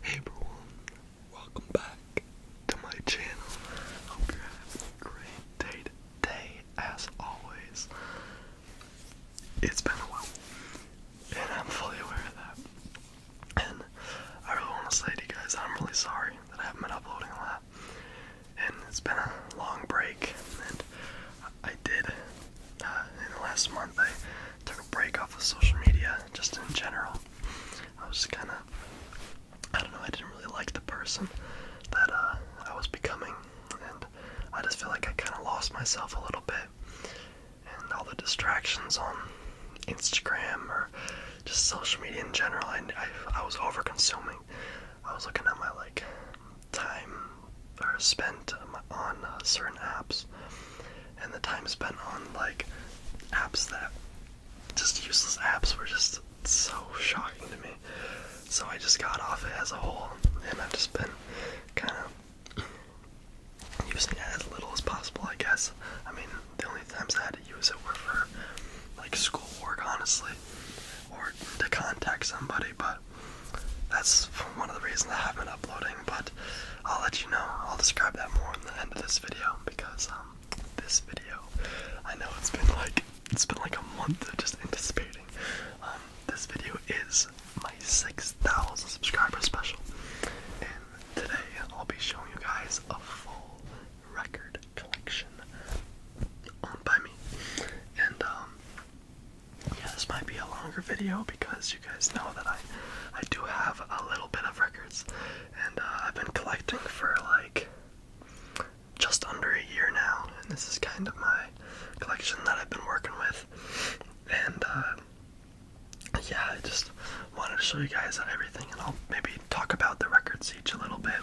Hey everyone, welcome back to my channel. Hope you're having a great day today, as always. It's been a while, and I'm fully aware of that. And I really want to say to you guys, I'm really sorry that I haven't been uploading a lot. And it's been a long break, and I did uh, in the last month took a break off of social media, just in general. I was just kind of, I don't know, I didn't really like the person that uh, I was becoming, and I just feel like I kind of lost myself a little bit. And all the distractions on Instagram or just social media in general, I, I, I was over consuming. I was looking at my like time or spent on uh, certain apps and the time spent on like apps that just useless apps were just so shocking to me. So I just got off it as a whole, and I've just been kind of using it as little as possible, I guess. I mean, the only times I had to use it were for like schoolwork, honestly, or to contact somebody, but that's one of the reasons I haven't uploading. But I'll let you know. I'll describe that more in the end of this video because um, this video I know it's been like it's been like a month of just anticipating. Um, this video is my 6,000 subscriber special. And today I'll be showing you guys a full record collection owned by me. And um, yeah, this might be a longer video because you guys know that I I do have a little bit of records and uh, I've been collecting for like just under a year now and this is kind of my collection that I've been working with and uh, yeah I just wanted to show you guys everything and I'll maybe talk about the records each a little bit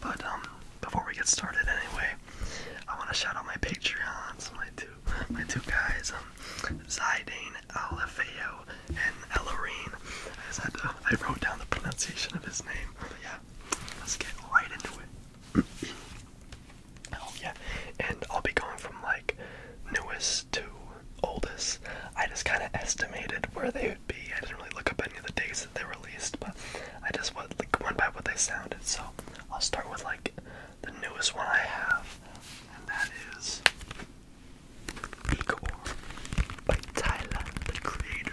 but um before we get started anyway I want to shout out my patreons my my two guys, um, Zidane Alefeo and Ellerine. I just had to, I wrote down the pronunciation of his name. yeah, let's get right into it. oh yeah, and I'll be going from like newest to oldest. I just kind of estimated where they would be. I didn't really look up any of the dates that they released, but I just went by what they sounded. So I'll start with like the newest one I have, and that is Igor by Tyler the Creator.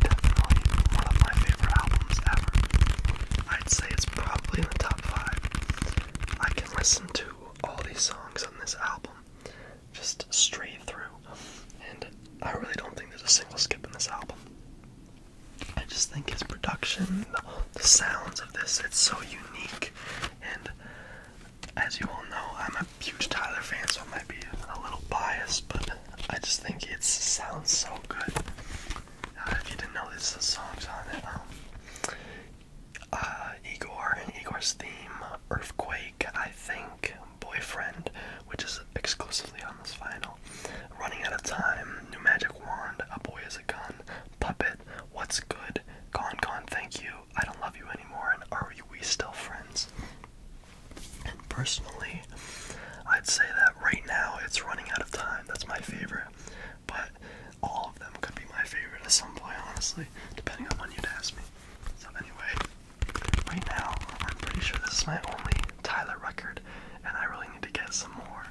Definitely one of my favorite albums ever. I'd say it's probably in the top five. I can listen to all these songs on this album just straight through, and I really don't think there's a single skip in this album. I just think his production, the sounds of this, it's so unique. And as you all know, I'm a huge Tyler fan, so I might be a little biased, but I just think it sounds so good. Uh, if you didn't know, there's the songs on it. Um, uh, Igor and Igor's theme, Earthquake, I think, Boyfriend, which is exclusively on this final, Running out of time, New Magic Wand, A Boy Is a Gun, Puppet. What's good? Gone, gone, thank you. I don't love you anymore, and are we still friends? And personally, I'd say that right now it's running out of time. That's my favorite. But all of them could be my favorite at some point, honestly, depending on when you'd ask me. So, anyway, right now, I'm pretty sure this is my only Tyler record, and I really need to get some more.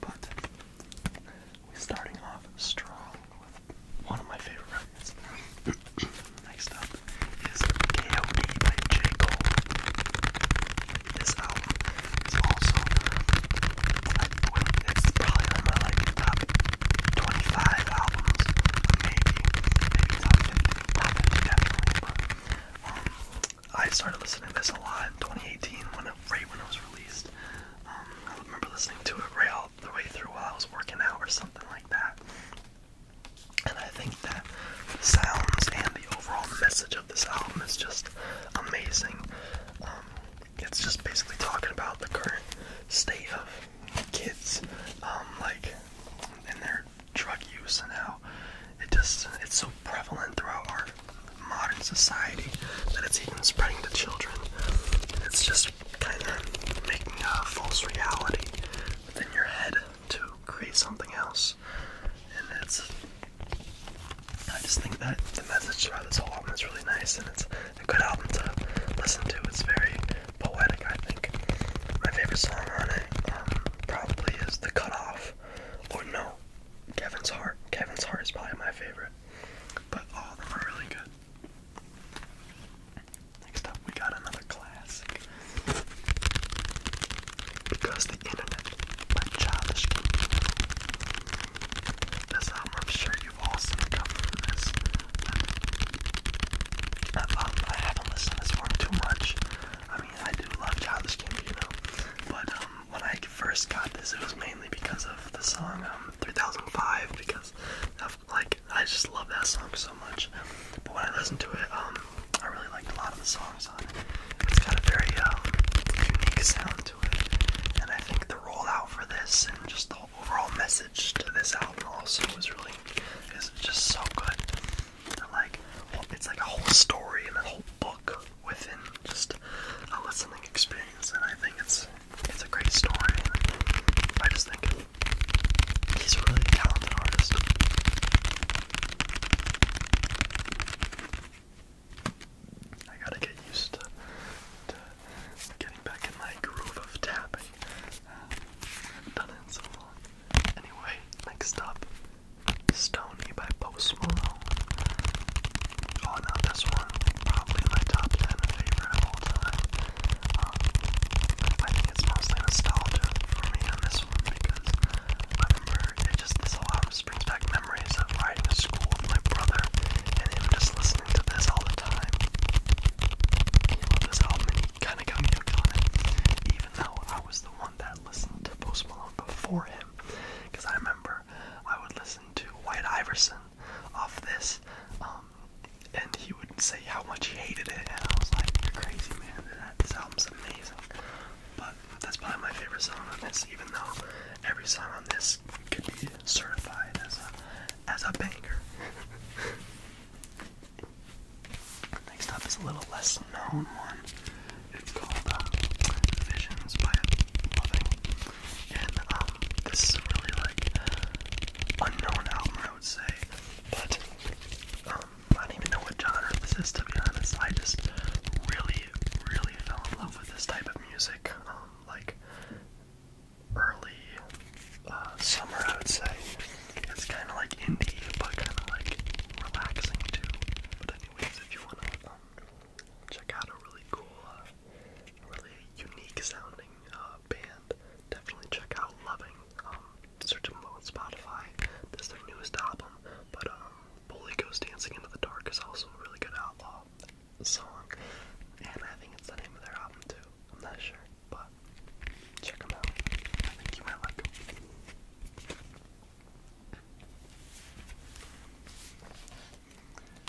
But we're starting off strong with one of my favorite records. Next up is KOD J. Cole. This album is also, it's probably on my like top 25 albums, maybe, maybe top 50, I started listening to this a lot in 2018 when it, right when it was released. Um, I remember listening to it right all the way through while I was working out or something like that. And I think that sounds and the overall message of this album is just amazing. Um, it's just basically talking about the current state of kids, um, like, in their drug use and how it just, it's so prevalent throughout our modern society that it's even spreading to children. It's just kind of making a false reality within your head to create something else. And it's. I just think that the message throughout this whole album is really nice and it's a good album to listen to. It's very poetic, I think. My favorite song on it um, probably is The Cut Off. Or no, Kevin's Heart. Kevin's Heart is probably my favorite. But all of them are really good. Next up, we got another classic. Because the Internet by Childish Gambino. That's album, I'm sure you've all seen the cover for this. I, haven't listened to this one too much. I mean, I do love Childish know, but um, when I first got this, it was mainly because of the song um, 3005 because like I just love that song so much. But when I listened to it, um, I really liked a lot of the songs on it. It's got a very um, unique sound to it, and I think the rollout for this and just the overall message to this album also was really is just so good. like, it's like a whole story and a whole book within just a listening experience, and I think it's it's a great story. I just think he's a really talented artist. I gotta get used to, to getting back in my groove of tapping. Um, done it so long. Anyway, next up, Stone County by Post Malone. Oh no, this one, probably my top 10 favorite of all time. Um, I think it's mostly nostalgia for me on this one because I remember it just, this album just brings back memories of riding to school with my brother and him just listening to this all the time. He loved this album and he kind of got me hooked on it, even though I was the one that listened to Post Malone before him. Because I remember I would listen comparison to White Iverson off this, um, and he would say how much he hated it, and I was like, "You're crazy, man! That this album's amazing." But that's probably my favorite song on this, even though every song on this could be certified as a as a banger. Next up is a little less known one. It's called uh, Visions by Loving. And um, this is really like unknown album, I would say. But um, I don't even know what genre this is to be honest. I just really, really fell in love with this type of music. Um, like early uh, summer, I would say. It's kind of like indie, but kind of like relaxing too. But anyways, if you wanna check out a really cool, uh, really unique sounding uh, band. Definitely check out Loving. Um, search them on Spotify. This is their newest album. But um, Bully Goes Dancing into the Dark is also a really good outlaw song. And I think it's the name of their album too. I'm not sure, but check them out. I think you might like them.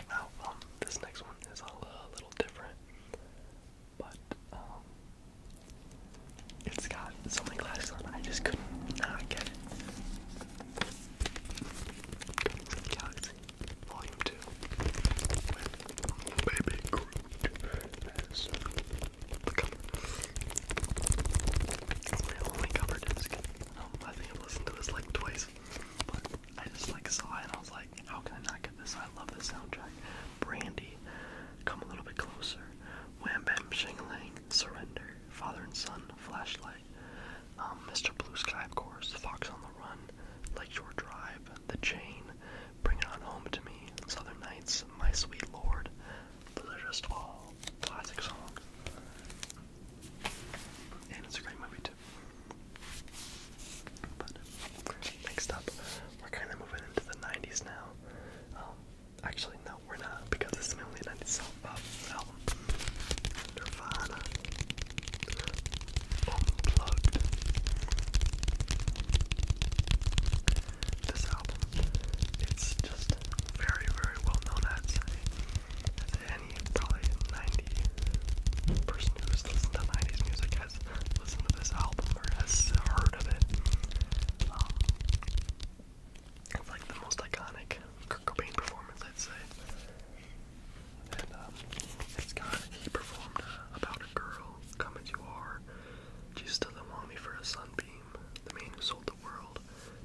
Now, um, this next one is a, a little different, but um, it's got so many glasses on. I just could not get it. Galaxy, Volume Two, Baby Groot as the cover. my only cover disc. Um, I think i listened to this like twice but I just like saw it and I was like, how can I not get this? I love this soundtrack. Brandy, come a little bit closer. Wham Bam Shingling, Surrender, Father and Son, Flashlight, um, Mr. Blue Sky, of course, Fox on the Run, Lake Shore Drive, The Chain, Bring It On Home to Me, Southern Nights, My Sweet Lord. Those are just all classic songs. And it's a great movie too. But next up, we're kind of moving into the 90s now. Um, actually, no, we're not because this is my only 90s self, uh, album. Nirvana. Unplugged. This album, it's just very, very well known, I'd many, probably person who's listened to 90s music has listened to this album or has heard of it. Um, it's like the most iconic Kurt Cobain performance, I'd say. And um, it's got, he performed uh, About a Girl, Come As You Are, Jesus Doesn't Me for a Sunbeam, The Man Who Sold the World,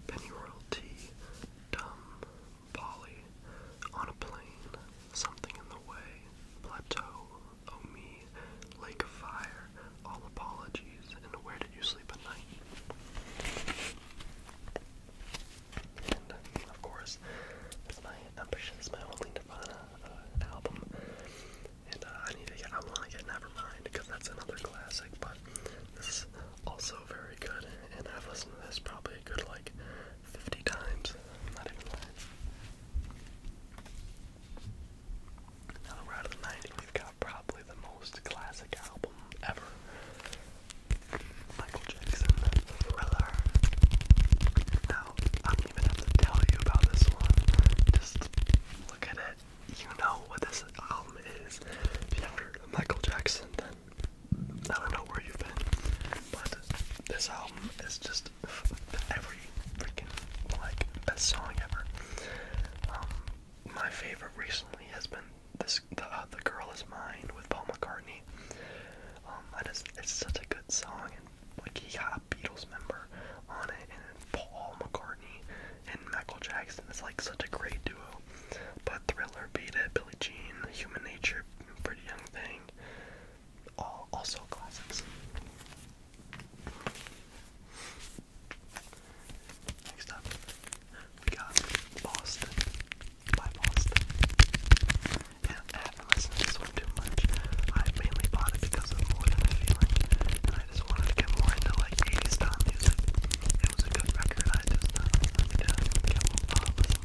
Penny Royal Dumb, Polly on a plane, something in the way, plateau, oh me, lake of fire, all apologies, and where did you sleep at night? And of course, that's my ambitious, my only Nirvana uh, album. And uh, I need to get, I want to get Nevermind because that's another classic, but this also very good, and I've listened to this probably a good like 50 times. not even lying. Now that the 90s, we've got probably the most classic album ever. Michael Jackson, Thriller. Now, I don't even have to tell you about this one. Just look at it. You know what this album is. If you Michael Jackson, then I don't know where you've been, but this album is just every freaking like best song ever. Um, my favorite recently has been this the uh, the girl is mine with Paul McCartney. Um, I just it's such a good song and like he got a Beatles member on it and Paul McCartney and Michael Jackson. is like such a great duo. But Thriller beat Billie Jean, Human Nature, Pretty Young Thing, all also classics. Next up, we got Boston by Boston. And I have to this one too much. I mainly bought it because of more than a feeling, and I just wanted to get more into like 80s style was a good record. I just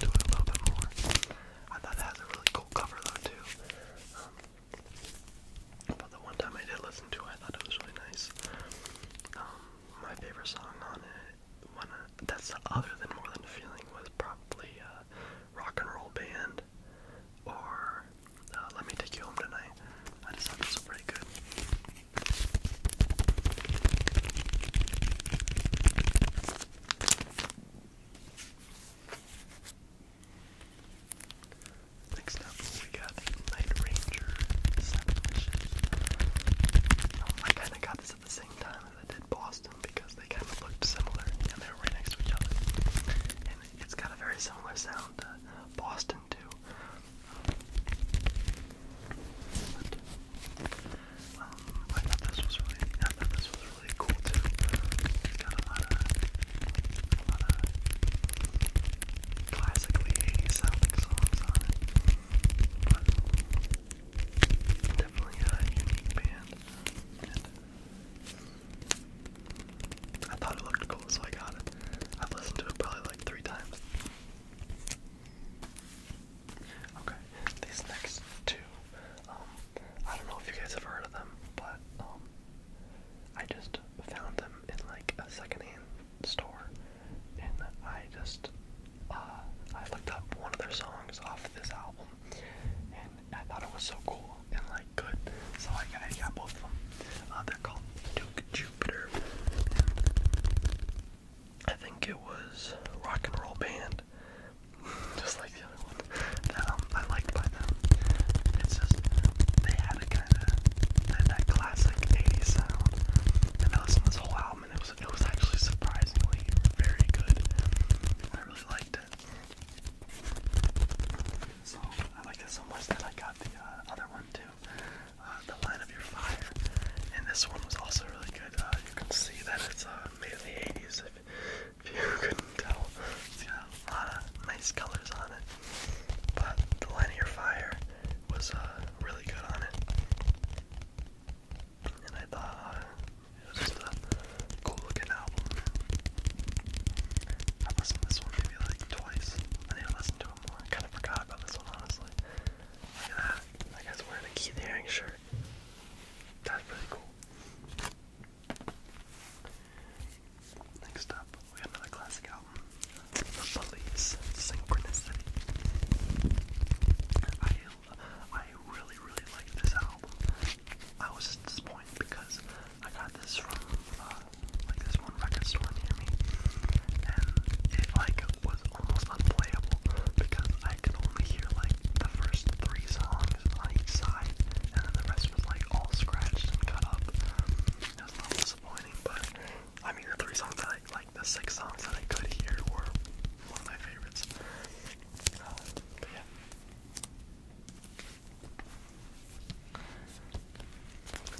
it a little bit more. I thought it has a really cool cover though too. Um, but the one time I did listen to it, I thought it was really nice. Um, my favorite song on it, that's other than More Than a Feeling, was probably uh, Rock and Roll Band or uh, Let Me Take You Home Tonight. I just thought it was pretty good. Next up, we got Night Ranger um, I kind of got this at the same time as I did Boston because they kind of looked similar and they were right next to each other. And it's got a very similar sound to Boston, too. Um, I thought this was really, I thought this was really cool too. got a lot of, a lot of classically 80s sounding songs on it. But definitely a unique band. I thought it looked cool, so I got it. I've listened to it probably like three times. Okay, these next two, um, I don't know if you guys have heard of them, but um, I just found them in like a secondhand store, and I just uh, I looked up one of their songs off this album, and I thought it was so cool and like good, so I got, I got both of them. Uh, they're called Duke Jupiter. I think it was Rock and Roll Band, just like the other one that um, I liked by them. It's just they had a kind of that, that classic '80s sound, and I listened to this whole album, and it was it was actually surprisingly very good. I really liked it. So I liked it so much that I got the uh, other one too uh, the line of your fire. And this one was also really good. Uh, you can see that it's uh, made in the 80s, if, if you couldn't tell. It's got a lot of nice colors on it. But the line of your fire was uh, really good on it. And I thought uh, it was just a cool looking album. I've listened to this one maybe like twice. I need to listen to it more. I kind of forgot about this one, honestly. Look at that. That guy's wearing a Keith Haring shirt. That's pretty cool. Next up, we got another classic album. The Police Synchronicity. I, I really, really like this album. I was disappointed because I got this from uh, like this one record store near me, and it like was almost unplayable because I could only hear like the first three songs on each side, and then the rest was like all scratched and cut up. It was a little disappointing, but I mean the three songs that I like, the six songs that I could hear were one of my favorites. Uh, yeah.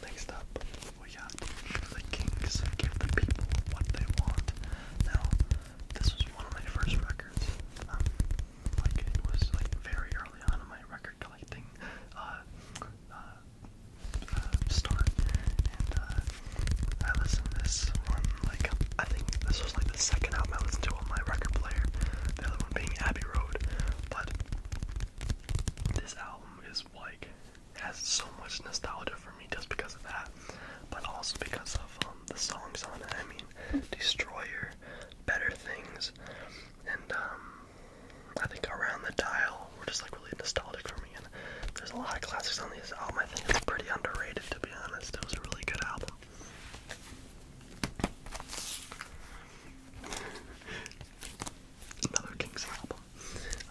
Next up, we got the kings give the people what they want. Now, this was one of my first records. Um, like it was like very early on in my record collecting uh, uh, uh, start, and I listened this one. Like I think this was like the second album I listened to on my record player. The other one being Abbey Road, but this album is like has so much nostalgia for me just because of that, but also because of um, the songs on it. I mean, Destroyer, Better Things, and um, I think Around the Dial were just like really nostalgic for me. And there's a lot of classics on this album. I think it's pretty underrated, to be honest. It was a really good album. Another King's album.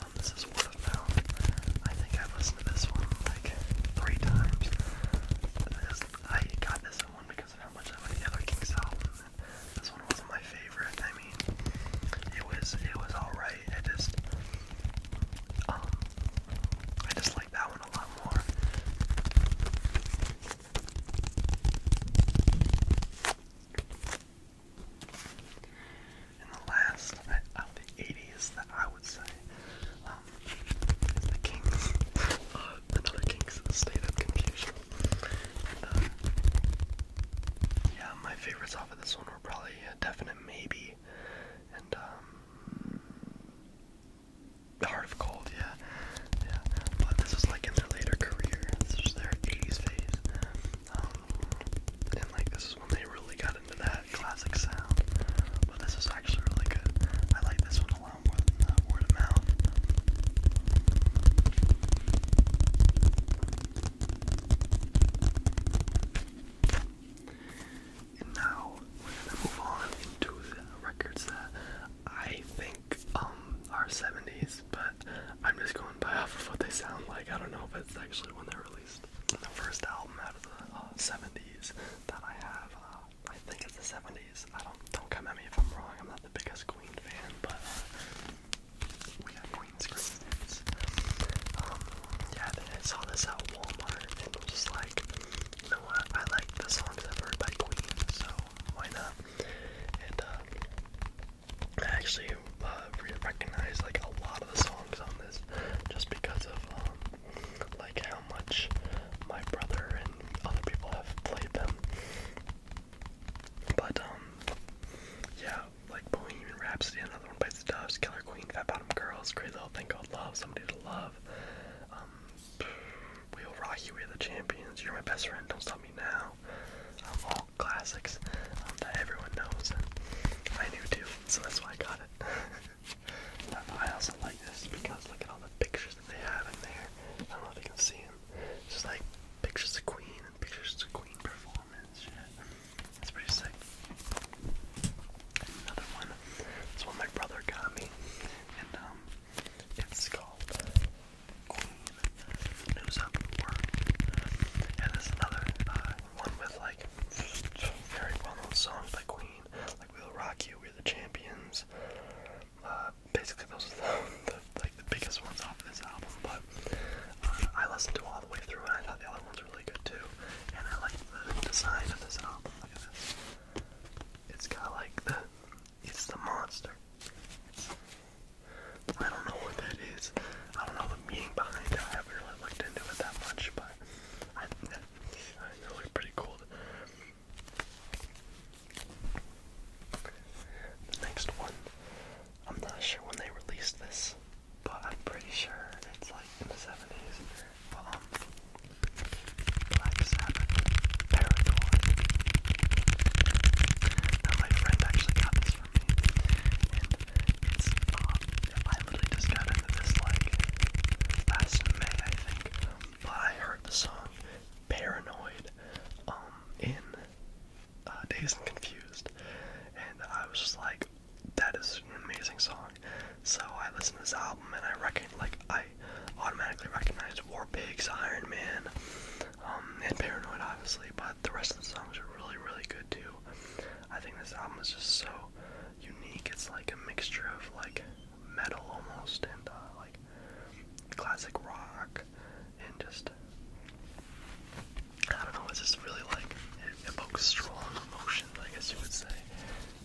Um, this is word of mouth. I think i listened to this one like three times. I got this one because of how much I like the other King's album. This one wasn't my favorite. I mean, it was it was alright. I just um, I just like that one a lot more in the last uh, of the 80s that I would say um, is the uh, Kings, another Kings State of Confusion. Uh, yeah, my favorites off of this one were probably a definite maybe, and um, Heart of Gold, yeah, yeah. But this was like in their later career. This was their 80s phase, um, and like this is when they really got into that classic sound. But this is actually really good. I like this one a lot more than uh, word of mouth. And now we're gonna move on into records that I think um are 70s, but I'm just going by off of what they sound like. I don't know if it's actually when they are were released the first album out of the uh, 70s that I have. Uh, I think it's the 70s. I don't don't come at me if I'm wrong. I'm not the biggest Queen fan, but uh, we got Queen screens. Um, yeah, then I saw this at Walmart and was just like, you know what? I like the songs I've heard by Queen, so why not? And uh, I actually uh, recognized like a lot of the songs on this just because of um, like how much my brother and other people have played them. But um, yeah, like Bohemian Rhapsody, Another One Bites the Dust, Killer Queen, Fat Bottom Girls, Crazy Little Thing Called Love, Somebody to Love. Um, We'll Rock You, We're the Champions, You're My Best Friend, Don't Stop Me Now. Um, all classics um, that everyone knows and I knew too, so that's why I got it. I also like this because look at all the pictures that they have in there. I don't know if you can see them. It's just like pictures of Queen and pictures of Queen performance. Shit. It's pretty sick. Another one. This one my brother got me, and um, it's called Queen News Up Work. And there's another uh, one with very well known songs by Queen, like "We'll Rock You," "We're the Champions." Uh, basically, those are the, like the biggest ones off this album. But uh, I listened to all the way through, and I thought the other ones were really good too. And I like the design of this album. It's got like the it's the monster. I don't know what that is. I don't know the meaning behind it. I haven't really looked into it that much, but I, they pretty cool. next one, I'm not sure when they released this, but I'm pretty sure it's like in the 70s. Um, Black Sabbath, Parador. my friend actually got this for me, I literally just got into this like last May, I think. But I heard the song Paranoid um, in uh, Days and Confused. And I was just like, that is an amazing song. So I listened to this album and I reckon, like, I automatically recognized War Pigs, Iron Man, um, and Paranoid, obviously. But the rest of the songs are really, really good too. I think this album is just so unique. It's like a mixture of like metal almost and uh, like classic rock and just I don't know. It's just really like it evokes strong emotions. I guess you would say.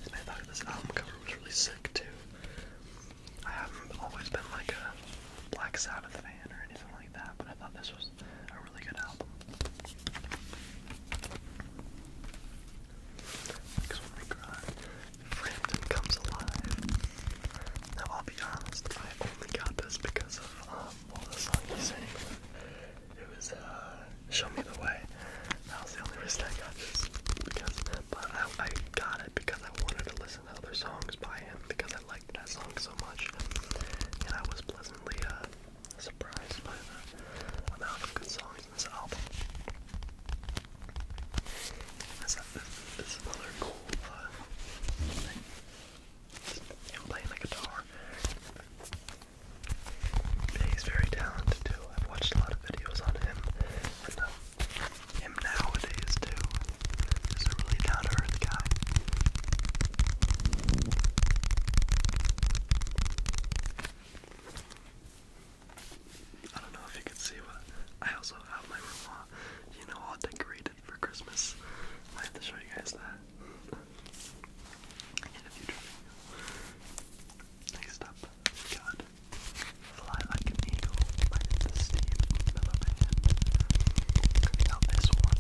And I thought this album cover was really sick too. I haven't always been like a Black Sabbath fan or anything like that, but I thought this was a now I'll be honest, I only got this because of um, the song he sang. It was uh, "Show Me the Way." That was the only reason I got this but I, got it because I wanted to listen to other songs by him because I liked that song so much, and I was pleasantly uh, surprised by the amount of good songs in this album. This, is another cool uh, thing. Him playing the guitar. He's very talented too. I've watched a lot of videos on him uh, him nowadays too. He's a really down to earth guy. I don't know if you can see, but I also have my room all, you know, all decorated for Christmas. I have to show you guys that Next up, God, Fly Like an Eagle by the Steve Miller Now this one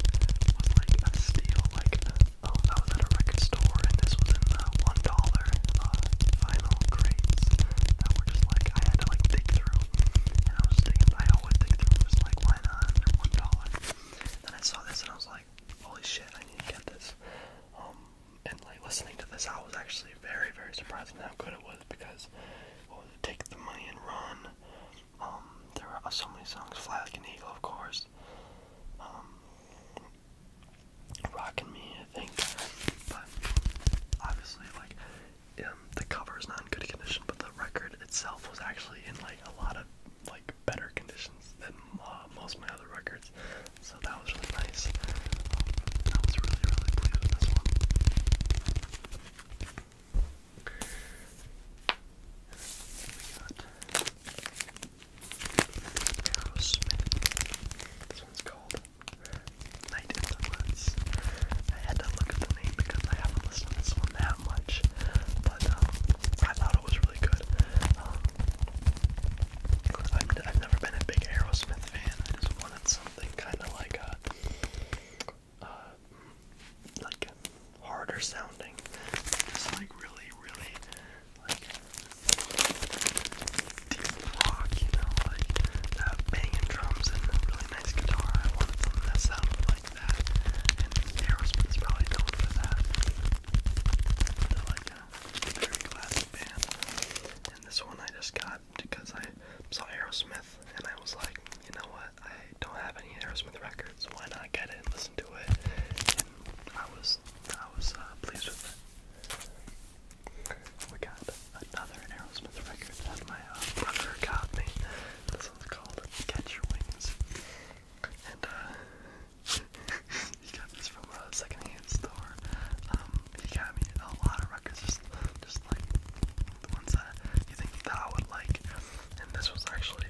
was like a steal, like Oh, that was at a record store, and this was in the one dollar uh, crates that were just like I had to like dig through, and I was thinking I always dig through, and was like, why not? one dollar. Then I saw this, and I was like, holy shit, I need to get this. Um, and like listening to this, I was actually very, very surprised at how good it was because Take the money run. Um, there are so many songs, Fly Like an Eagle, of course. Um, rocking me, I think. But obviously, like, um, the cover is not in good condition, but the record itself was actually in like a lot of like better conditions than most of my other records. So that was really nice. Um, was really, really pleased with this one. We got Aerosmith. This one's called Night in the Woods. I had to look at the name because I haven't listened to this one that much, but um, I thought it was really good. Um, I've, never been a big Aerosmith fan. I just wanted something kind of like a, uh, like harder sounding, just like really, really like deep rock, you know, like uh, banging drums and a really nice guitar. I wanted something that sounded like that, and Aerosmith's probably known for that. They're like a very classic band, and this one I just got because I saw Aerosmith, and I was like, you know what, I don't have any Aerosmith records, why not get it and listen to it? And I was I was uh, pleased with it. We got another Aerosmith record that my uh, brother got me. This one's called Catch Your Wings. And uh, he got this from a secondhand store. Um, he got me a lot of records, just, just like the ones that you think that I would like. And this was actually,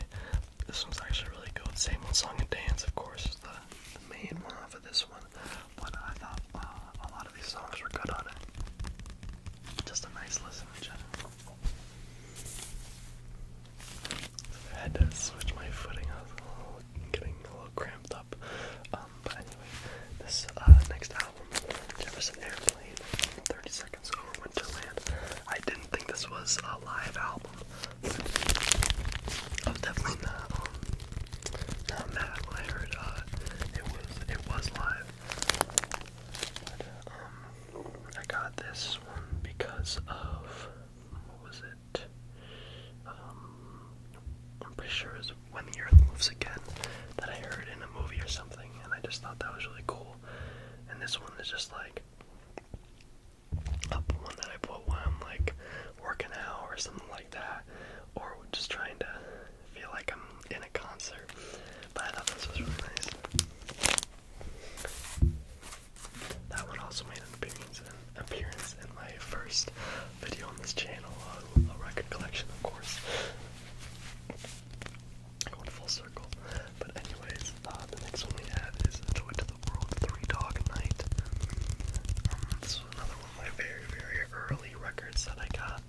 this one's actually really good. Same old song and dance, of course, the main one off of this one, but I thought uh, a lot of these songs were good on it. Just a nice listen in general. I had to switch my footing. I was a little, getting a little cramped up. Um, but anyway, this uh, next album, Jefferson Airplane, 30 Seconds Over Winterland. I didn't think this was a live album. I was definitely not, um, not mad when I heard, uh, it was, it was live. Um, I got this one because of, what was it? Um, I'm pretty sure it was When the Earth Moves Again that I heard in a movie or something, and I just thought that was really cool. And this one is just like, up one that I put when I'm like working out or something like that, or just trying to feel like I'm in a concert. But I thought this was really nice. That one also made an appearance in, my first video on this channel, uh, a record collection, of course. Going full circle. But anyways, uh, the next one we have is Toy to the World Three Dog Night. Um, this was another one of my very, very early records that I got,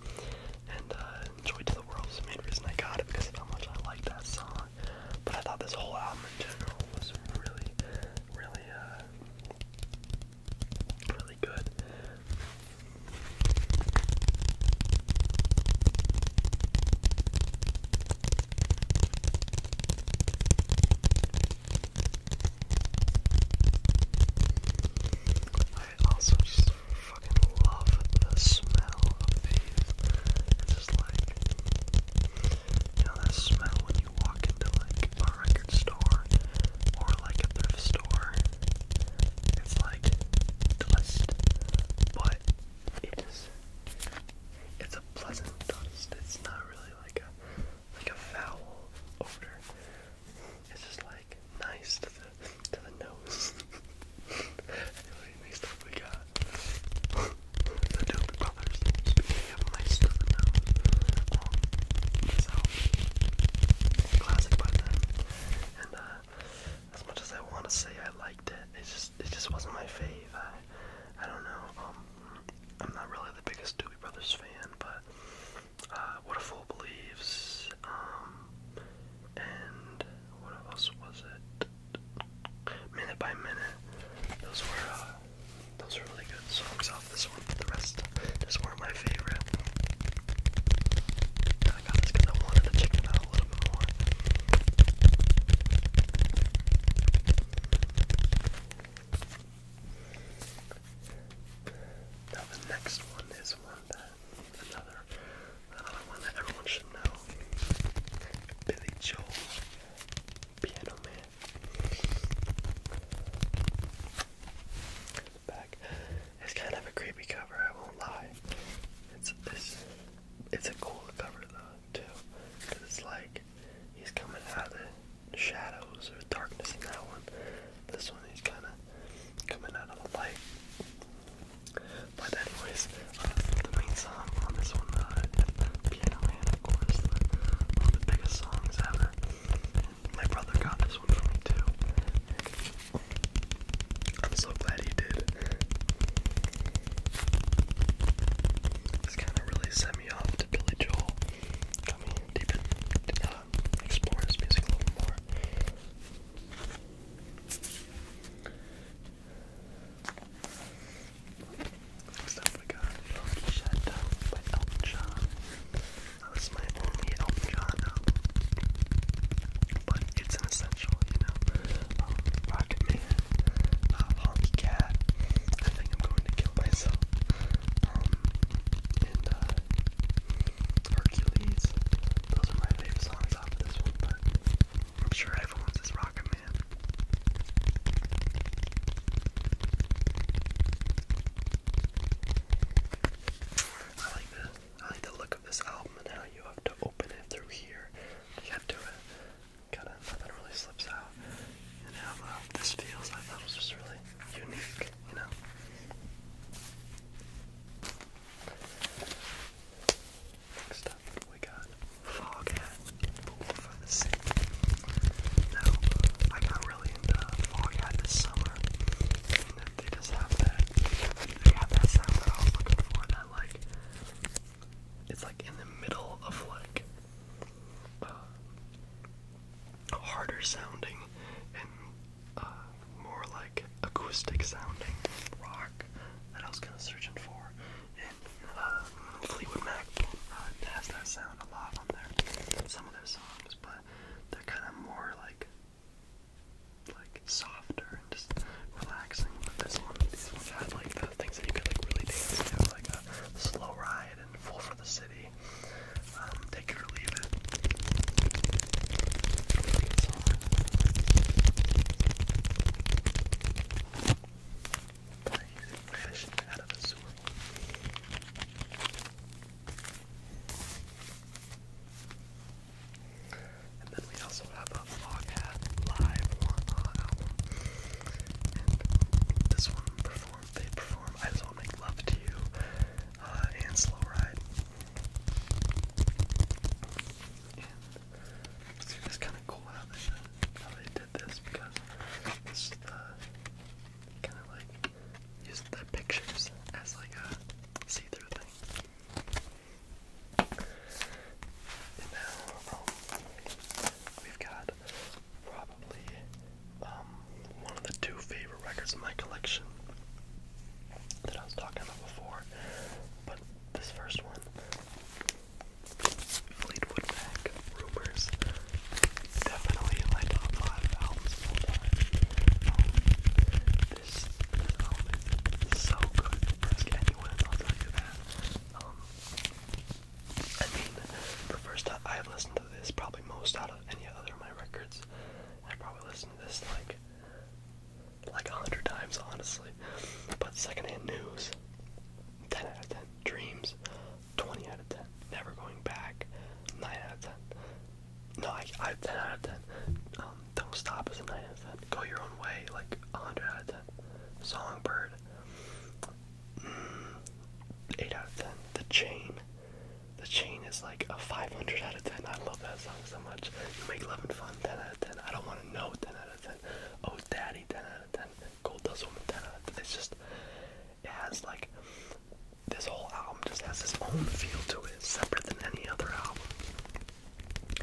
and uh, Joy to the World the main reason I got it because of how much I liked that song. But I thought this whole album in general was really, really, uh, really good. I also fucking love the smell of these. It's just like, you know, that smell when you walk into like a record store or like a thrift store. It's like dust, but it is. It's a pleasant dust. It's not really like a like a foul odor. It's just like nice to the to the nose. anyway, next up we got the Doobie Brothers. Speaking of nice to the um, classic by And uh, as much as I want to say I liked it, it just it just wasn't my fave. I I don't know. Um, I'm not really the biggest Doobie Brothers fan, but uh, What a Fool Believes, um, and what else was it? Minute by Minute. Those were uh, those were really good songs off this one. The rest just weren't my favorite. I got this because I wanted to check it out a little more. Now the next one is one that another another one that everyone should know. Billy Joel, Piano Man. back. It's kind of a creepy cover, I won't lie. It's it's it's a cool cover though too, it's like he's coming out of the shadows or darkness in that one. This one he's kind of coming out of the light. But anyways, uh, the main song on this one, uh, Piano Man, of course, one of the biggest songs ever. my brother got this one for me too. I'm so glad he did. It's kind of really sad me off to Billy Joel. Got me deep uh, his music a little more. Next we got Love Shadow by Elton John. That was my only Elton John album. But it's an essential, you know. Um, Rocketman, uh, Holly Cat. I think I'm going to kill myself. Um, and uh, Hercules. Those are my favorite songs off this one, but I'm sure everyone's a Rocketman. I like the I like the look of this album and how you have to open it through here. You have to uh, kind of nothing really slips out. And how this feels, I thought was just really unique, you know. Next up, we got Fog Hat for the Sea. Now, I got really into Fog Hat this summer, and they just have that, they have that sound I was looking for, that like, it's like in the middle of like uh, harder sounding and uh, more like acoustic sounding rock that I was kind of searching for. And uh, Fleetwood Mac uh, has that sound a lot on their some of their songs, but they're kind of more like like softer and just relaxing. But this one, these ones had like the things that you could like really dance to, like a slow ride and full for the city. Um, take it leave And then we also have a Foghat live one album this one performed, they perform I Just Wanna Make Love to You uh, and Slow Ride. it's just kind of cool uh, how they, did this because it's uh, kind of like used the pictures as like a see through thing. And now um, we've got probably um, one of the two favorite records in my collection that I was talking about before. But this first one, Fleetwood Mac Rumors, definitely in my top five albums um, this, album is so good. Ask anyone, I'll tell you that. I mean, the first time I've listened to this probably most out of any other of my records. I probably listened to this like like a hundred times, honestly. But secondhand news, ten out of ten. Dreams, twenty out of ten. Never going back, nine out of ten. No, I, I ten out of ten. Um, don't stop is a nine out of ten. Go your own way, like a hundred out of ten. Songbird, Mm, 8 out of 10. The Chain. The Chain is like a 500 out of 10. I love that song so much. You make love and fun, 10 out of 10. I don't want to know, 10 out of 10. Oh, Daddy, 10 out of 10. Gold does Woman, 10 out It's just, it has like, this whole album just has its own feel to it, separate than any other album.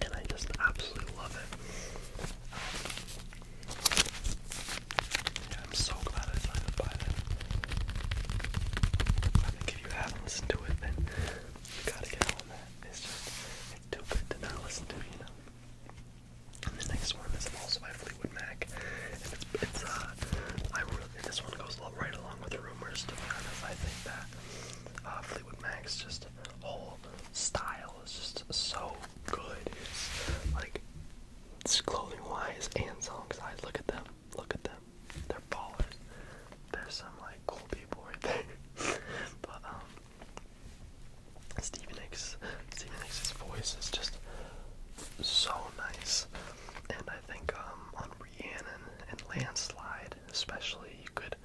And I just absolutely love it. I'm so glad I found to buy that. I think if you haven't listened to it, then you gotta get on that. It's just, too good to not listen to, you know? And the next one is also by Fleetwood Mac, it's, uh, I really, this one goes right along with Rumors, to be honest. I think that uh, Fleetwood Mac's just whole style is just so good. It's like, clothing wise and song wise Look at them. Look at them. They're ballers. There's some like cool people right there. but um Stephen X Stephen X's voice is just so nice. And I think um on Rhiannon and Landslide especially you could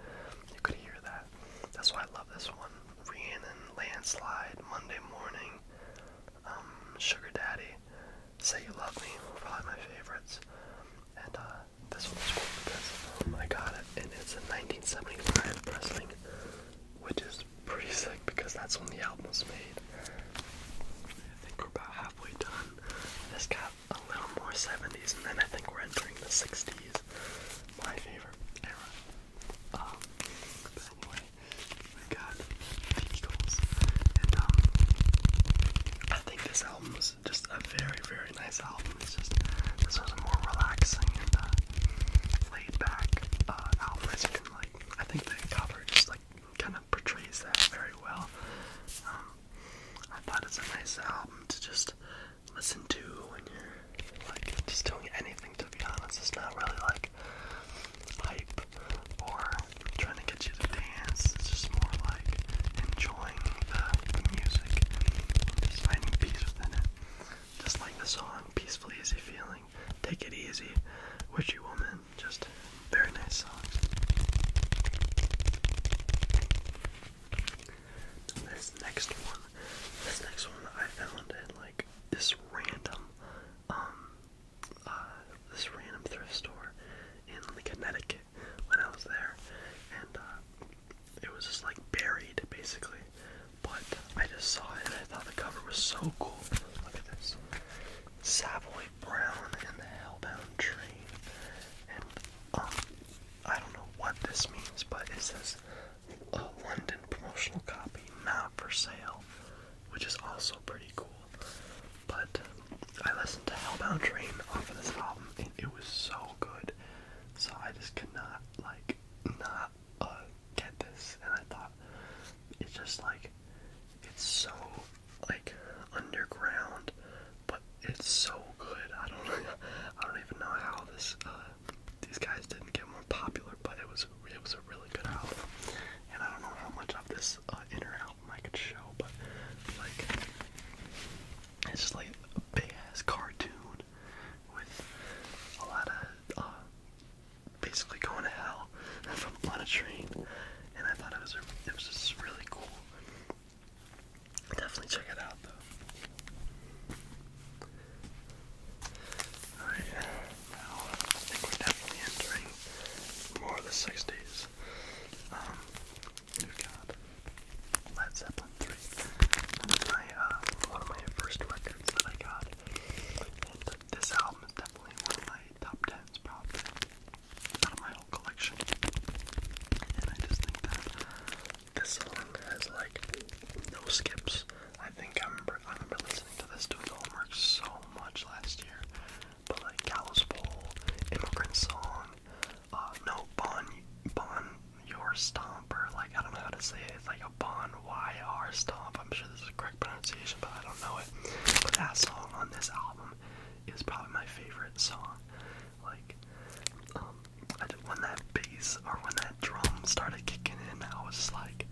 you could hear that. That's why I love this one. Rhiannon, Landslide, Monday morning, um, Sugar Daddy, Say You Love Me were probably my favorites. And uh, this one cool because um, I got it, and it's a 1975 pressing, which is pretty sick because that's when the album was made. I think we're about halfway done. This got a little more 70s, and then I think we're entering the 60s. My favorite era. Oh, anyway, we got the and um, I think this album was just a very, very nice album. It's just this was a more relaxing and uh, laid back uh, album. As you can like, I think the cover just like kind of portrays that very well. Um, I thought it's a nice album to just listen to when you're like, just doing anything, to be honest, it's not really like hype or trying to get you to dance. It's just more like enjoying the, music and just finding peace within it. Just like the song, Peaceful Easy Feeling, Take It Easy, Witchy Woman, just very nice songs. This next one, this next one I found it this random um, uh, this random thrift store in Connecticut when I was there and uh, it was just like buried basically but I just saw it and I thought the cover was so cool. Look at this. Savoy Brown and the Hellbound tree. And um, I don't know what this means but it says uh, London promotional copy, not for sale, which is also pretty cool. But um, I listened to Hellbound Train off of this album, and it was so good. So I just could like not uh, get this, and I thought it's just like it's so like underground, but it's so good. I don't I don't even know how this uh, these guys didn't get more popular, but it was it was a really good album. And I don't know how much of this uh, inner album I could show, but like it's just like a big ass cartoon with a lot of uh, basically going to hell from on a train. And I thought it was it was just really cool. Definitely check it out though. Alright, now I think we're definitely entering more of the 60s. Um, we got Led Zeppelin 3. one of my first records that I got. this album is definitely one of my top 10s, probably, out my whole collection. And I just think that this song has, like, no skips. I think I'm remember I remember listening to this doing homework so much last year. But like Gallows Bowl, Immigrant Song, uh, no Bon Bon Your Stomper, like I don't know how to say it, like a Bon Y R Stomp. I'm sure this is the correct pronunciation, but I don't know it. But that song on this album is probably my favorite song. Like um, when that bass or when that drum started kicking in, I was just like,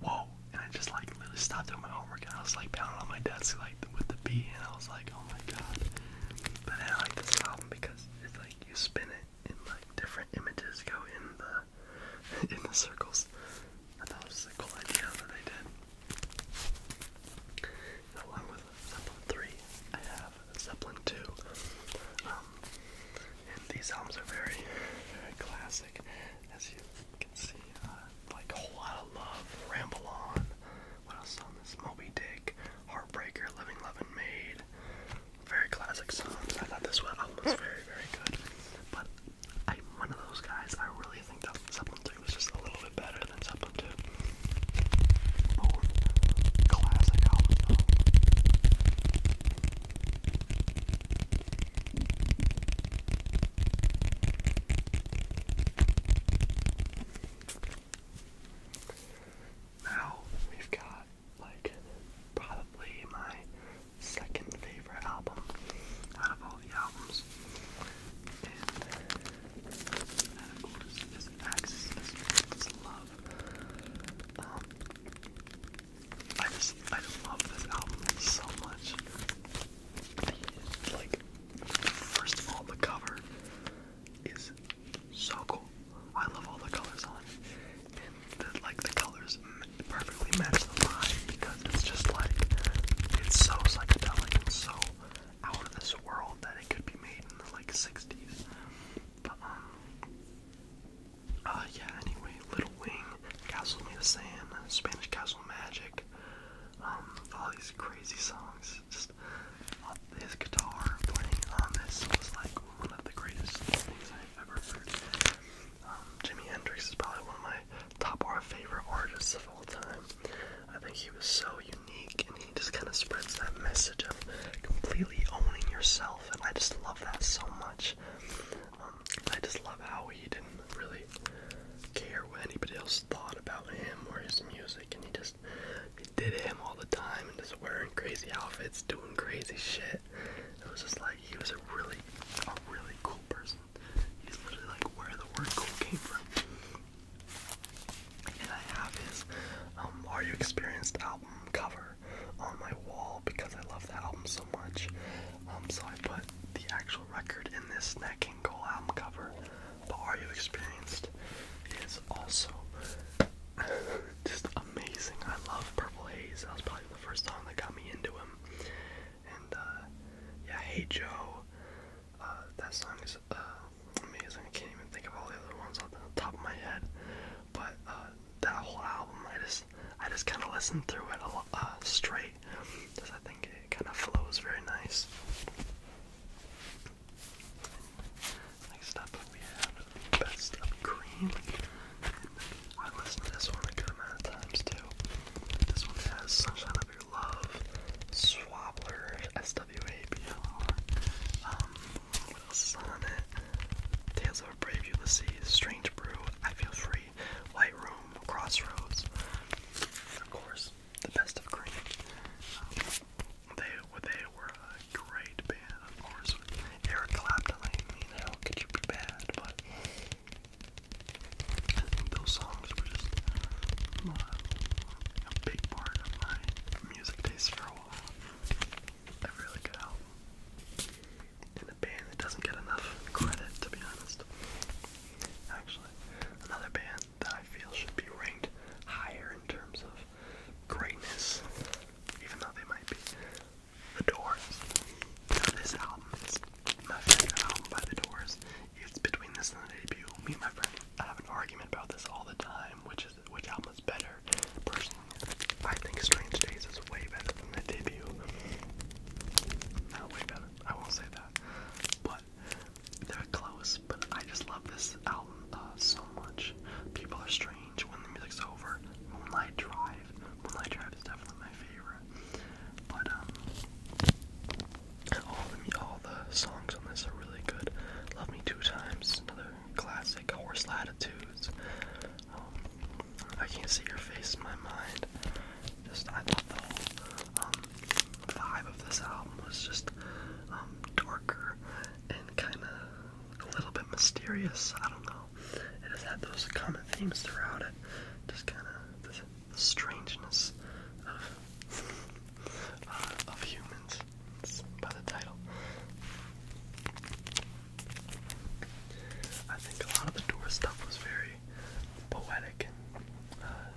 whoa, and I just like literally stopped doing my homework and I was like pounding on my desk like with the beat and I was like, oh my god. But I like this album because it's like you spin it and like different images go in the in the circles. I thought it was a cool idea that they did. along with Zeppelin 3, I have Zeppelin 2. Um, these albums are very, very classic, as you can see. Uh, like a whole lot of love, ramble on. What else on this? Moby Dick, Heartbreaker, Living loving, Made. Very classic songs. I thought this one was very, very good. But I'm one of those guys. I really think that Zeppelin 3 was just a little bit better than Zeppelin 2. classic albums, now we've got like probably my second favorite album out of all the albums. And that of course is Axis Love. Um, I just I love this album so much. Like, first of all, the cover is so cool. I love all the colors on it, and like the colors perfectly match the vibe because it's just like it's so psychedelic and so out of this world that it could be made in the like '60s. But um, uh, yeah, anyway, Little Wing, Castle Made of Sand, Spanish Castle Magic, um, all these crazy songs. Uh, his guitar playing on this was like one of the greatest things I've ever heard. Um, Hendrix is probably one of my top or favorite artists of all time. I think he was so unique and he just kind of spreads that message of completely owning yourself, and I just love that so much. Um, I just love how he didn't really care what anybody else thought about him or his music, and he just he did him all the time and just wearing crazy outfits, doing crazy shit. It was just like he was a really, a really cool person. He's literally like where the word cool came from. And I have his um, Are You Experienced album cover on my wall because I love that album so much. Um, so I put the actual record in this neck and Cole album cover. But Are You Experienced is also just amazing. I love Purple Haze. That was probably the first song that got me into him. And uh, yeah, Hey Joe. Uh, that song is uh, amazing. I can't even think of all the other ones on the top of my head. But that whole album, I just I just kind of listen through it uh, straight because I think it kind of flows very nice. next up, we have Best of Cream. I listened to this one a good amount of times too. This one has Sunshine of Your Love, Swabbler, SWABR. Um, what else is on it? Tales of a Brave Ulysses, Strange Brew, I Feel Free, Lightroom, Crossroads, of course, the best of green. Um, they, they were a great band, of course. Eric Clapton, I mean, how could you be bad? But those songs were just uh, a big part of my music taste for a while. A really good album in a band that doesn't get enough credit, to be honest. Actually, another band that I feel should be ranked higher in terms of greatness, even though they might be The Doors. Now, this album is my favorite album by The Doors. It's between this and the debut. Me and my friend I have an argument about this all the time, which is which album is better. Personally, I think Strange Days is way better the debut. I won't say that. But they're close. But I just love this album uh, so much. People are strange when the music's over. Moonlight Drive. Moonlight Drive is definitely my favorite. But um, all the all the songs on this are really good. Love Me Two Times, another classic. Horse Latitudes. I can't see your face in my mind. Just I thought the whole um, vibe of this album was just um, darker and kind of a little bit mysterious. I don't know. It has had those common themes throughout it. Just kind of the, strangeness uh, of, humans. by the title. I think a lot of the door stuff was very poetic and uh,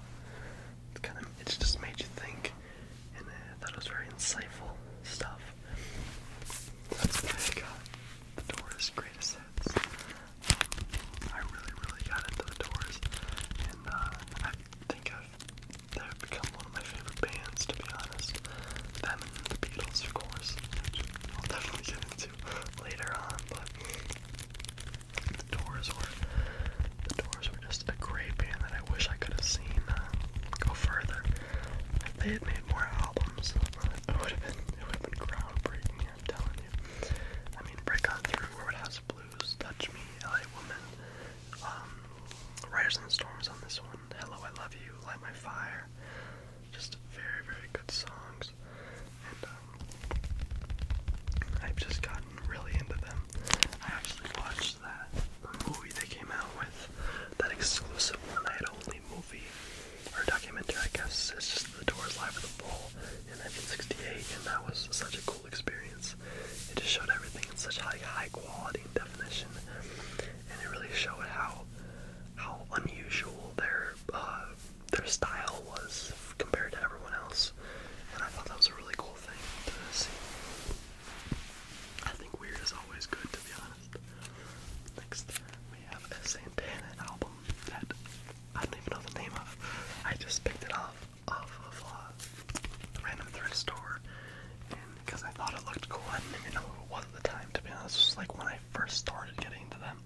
it's kind of it just made you think, and I thought it was very insightful stuff. That's why I got the Doors greatest hits. Um, I really, really got into the Doors, and uh, I think I've they've become one of my favorite bands to be honest. Them and the Beatles, of course. I'll definitely get into later on, but the doors were just a great band that I wish I could have seen uh, go further. If they had made more albums, uh, it would have been groundbreaking. I'm telling you. I mean, Break On Through, Road House Blues, Touch Me, LA Woman, um, Riders in the Storms on this one, Hello I Love You, Light My Fire. Just very, very good songs, and um, I've just gotten really into them. I actually watched that movie they came out with, that exclusive one night only movie or documentary, I guess. It's just The Doors Live at the Bowl in 1968, and that was such a cool experience. It just showed everything in such high, high quality definition, and it really showed how how unusual their uh, their style was compared to everyone else, and I thought that was a really cool thing to see. I think weird is always good, to be honest. Next, we have a Santana album that I don't even know the name of. I just picked it off off of uh, a random thrift store, because I thought it looked cool, I didn't even know who it was at the time. To be honest, it was like when I first started getting into them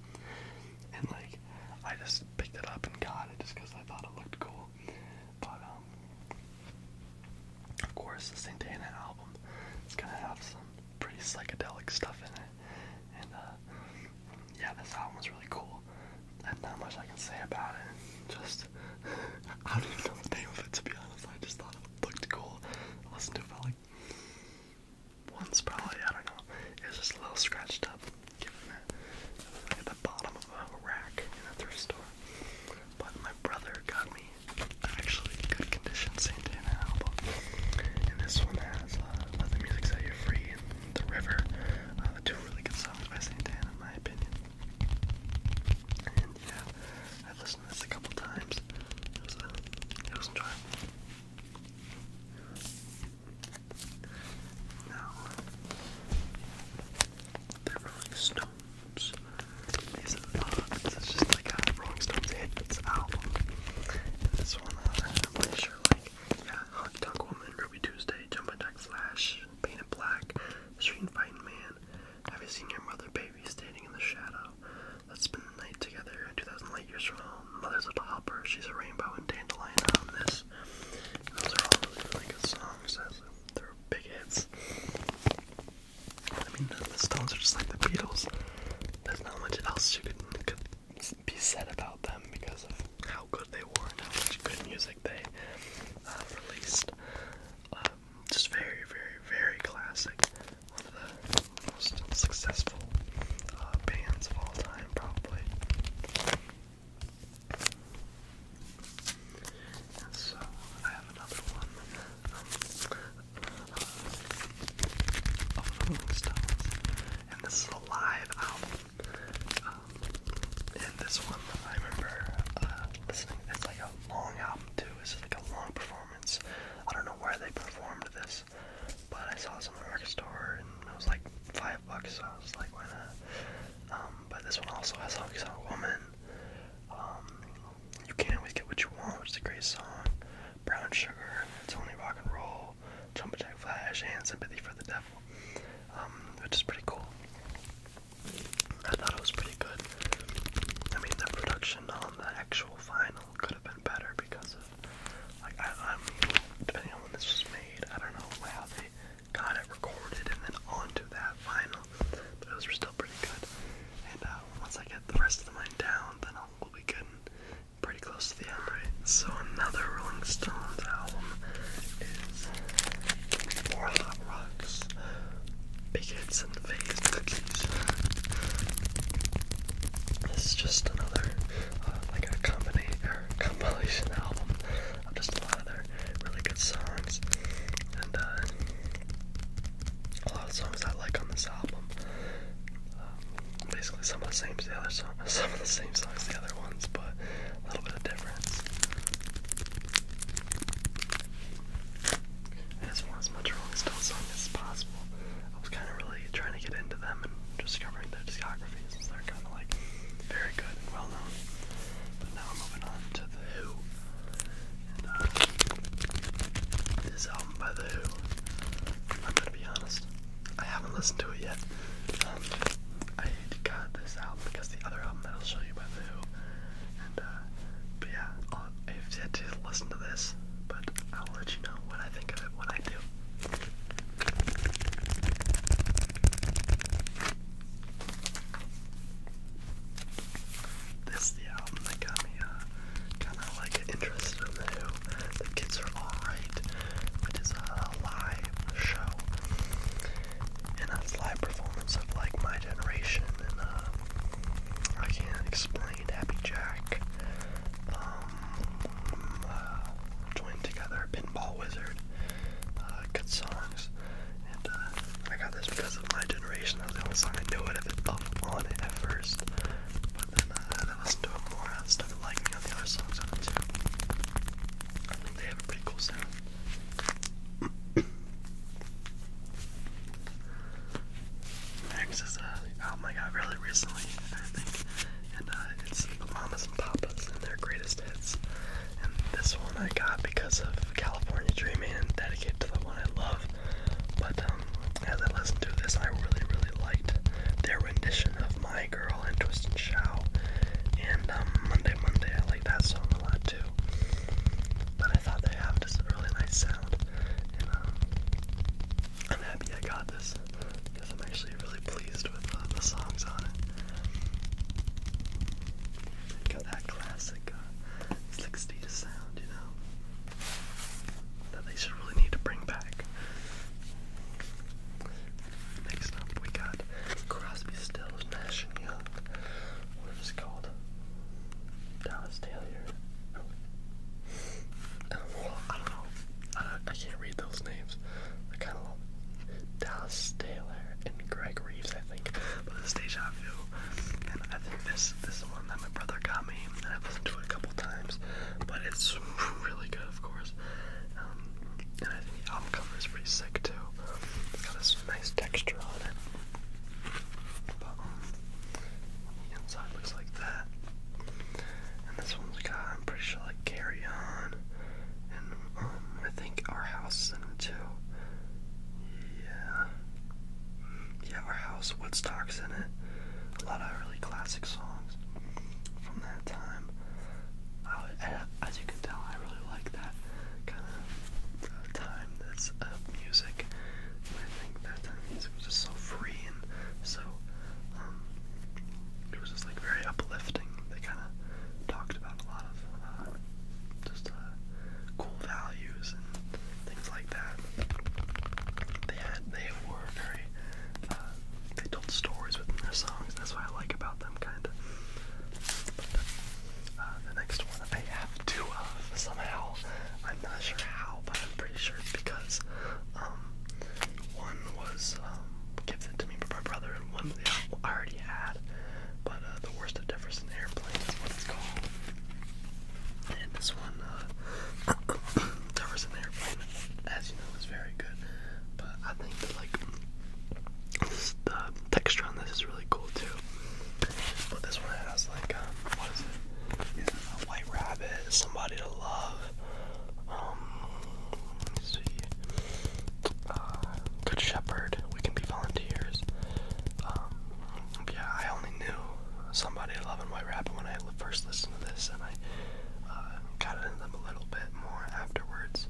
and like I just picked it up and got it just because I thought it looked cool. But um, of course, the Santana album is gonna have some pretty psychedelic stuff in it, and uh, yeah, this album was really cool. And not much I can say about it. Just I don't even know the name of it to be honest. I just thought it looked cool. I to it felt like once probably, I don't know. It just a little scratched up, given it was at the bottom of a rack in a thrift store. But my brother got me actually good condition Saint album. And this one has uh, Let the Music Set You Free and The River. Uh, two really good songs by Saint in my opinion. And yeah, I've listened to this a couple times. it was uh, enjoyable. Now, Rolling Stones this is just like a Rolling Stones hits album. And this one, uh, I'm pretty sure, like, yeah, Honky Tonk Woman, Ruby Tuesday, Jumpin' Jack Flash, Painted Black, Street Fighting Man, Have You Seen Your Mother Baby Standing in the Shadow, Let's spend the night together. 2,000 light years from home. Mother's Little Helper. She's a Rainbow and Dandelion on this. those are all really, songs. They're big hits. I mean, the, Stones are just like the Beatles. There's not much else you could, could be said about them because of how good they were and how much good music they uh, released. Um, just very, very, very classic one of the most successful uh, bands of all time, probably. And so I have another one um, uh, of Rolling Stones, and this is a live album. Um, and this one, I remember uh, listening. It's like a long album too. It's like a long performance. I don't know where they performed this this, but I saw this on the record store and it was like five bucks, so I was like, why not? Um, but this one also has Honky Tonk Woman. Um, you can't always get what you want, which is a great song. Brown Sugar, It's Only Rock and Roll, Jump Jack Flash, and Sympathy for the Devil, um, which is pretty cool. I thought it was pretty good. I mean, the production on the actual vinyl could have been better because of like I, I depending on when this was made, I don't know how they got it recorded and then onto that final, But those were still pretty good. And uh, once I get the rest of the line down, then I'll, we'll be good pretty close to the end, right? So another Rolling Stones album is More Hot Rocks, Big Hits and Phase Cookies. This is just another uh, like a combination or compilation album of just a lot of their really good songs, and uh, a lot of songs I like on this album. Um, basically, some of the same as the other song, some of the same songs the other ones, but a little bit of difference. I just want as much Rolling Stones song as possible. I was kind of really trying to get into them and discovering their discography they're kind of like very good and well known. But now I'm moving on to The Who. Uh, this album by The Who, I'm gonna be honest, I haven't listened to it yet. Um, I got this album because the other album that I'll show you by The Who. Uh, but yeah, I've yet to listen to this, but I'll let you know what I think of it when I do. This the album that got me uh, kind of like interested in the Who. The Kids Are Alright, which is a live show, and a live performance of like my generation, and uh, I can't explain Happy Jack, um, uh, joined together, Pinball Wizard. Uh, songs. Uh, I got this because of my generation. That was the only song I knew it of it up on it first. But then uh, I listened to it more. I started liking all the other songs on it too. I think they have a pretty cool sound. Next is an album I got really recently. I think and uh, it's the Mamas and Papas and their greatest hits. And this one I got because of California Dreaming and dedicated to the one I love. But um, as I listened to this, I really, really liked their rendition of My Girl and Twist and Shout. And um, Monday, Monday, I like that song a lot too. But I thought they have just a really nice sound. And um, I'm happy I got this because I'm actually really pleased with uh, the songs on it. Got that classic 60s uh, sound, you know, that they should really need to bring back. Next up, we got Crosby, Stills, Nash and Young. What is called? Dallas Taylor. I don't know. I, can't read those names. I kind of Dallas Taylor and Greg Reeves, I think, but it's Deja Vu. And I think this this one that my brother got me, I've listened to it a couple times. But it's really good, of course. Um, and I think the album cover is pretty sick too. It's got this nice texture on it. But um, the inside looks like that. And this one's got, I'm pretty sure, like carry on. And um, I think our house is in it too. Yeah. Yeah, our house, Woodstock's in it. A lot of really classic songs from that time. as you can tell, I really like that kind of uh, time that's of uh, music. I think that music was just so free and so um, it was just like very uplifting. They kind of talked about a lot of uh, just uh, cool values and things like that. They had they were very uh, they told stories within their songs. That's what I like about them, kind of. Uh, the next one I have two of uh, somehow. I'm not sure how, but I'm pretty charity because um, one was um, gifted to me by my brother, and one I already had. But uh, the worst of Jefferson Airplane is what it's called. And this one, uh, Airplane, as you know, is very good. But I think that like the texture on this is really cool too. But this one has like um, what is it? It's a white rabbit, somebody to love. Um, uh, Good Shepherd, we can be volunteers. Um, yeah, I only knew somebody at Love White Rabbit when I first listened to this, and I uh, got into them a little bit more afterwards.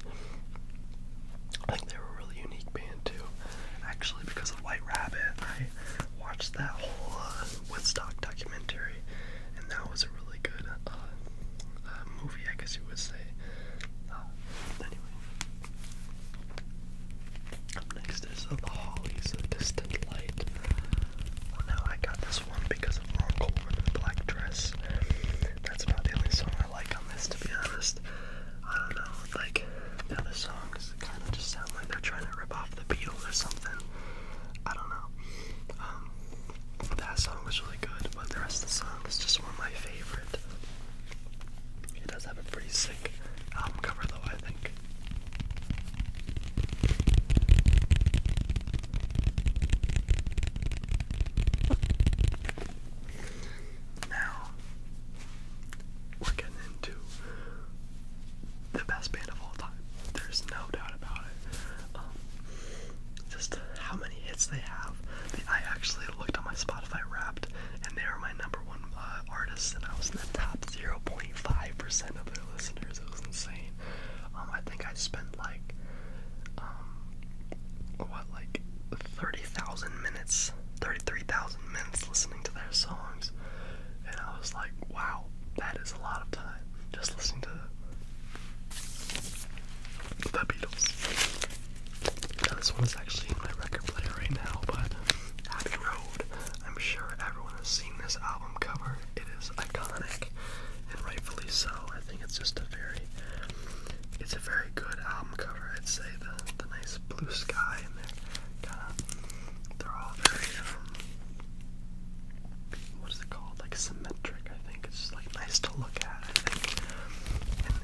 I think they were a really unique band too. Actually, because of White Rabbit, I watched that whole uh, Woodstock documentary and that was a really good uh, uh, movie, I guess you would say. Uh, anyway, up next is uh, The Hollies, Distant Light. now I got this one because of Ron Coleman black dress. That's about the only song I like on this, to be honest. I don't know, like, other songs kind of just sound like they're trying to rip off the Beatles or something. I don't know. Um, that song was really good, but the rest of the song is just one of my favorite. It does have a pretty sick album cover, though, I think. Now, we're getting into the best band of all time. There's no doubt about it. Um, just how many hits they have. I actually looked on my Spotify Wrapped, and they were my number one uh, artist, and I was in the top 0.5% of their listeners. It was insane. Um, I think I spent like, um, what, like 30,000 minutes, 33,000 minutes listening to their songs, and I was like, wow, that is a lot of just listening to the Beatles. Now, this one is actually in my record player right now, but Abbey Road. I'm sure everyone has seen this album cover. It is iconic, and rightfully so. I think it's just a very, it's a very good album cover. I'd say the the nice blue sky and they're kind of, they're all very um, what is it called? Like symmetric, I think. It's just like nice to look at, I think.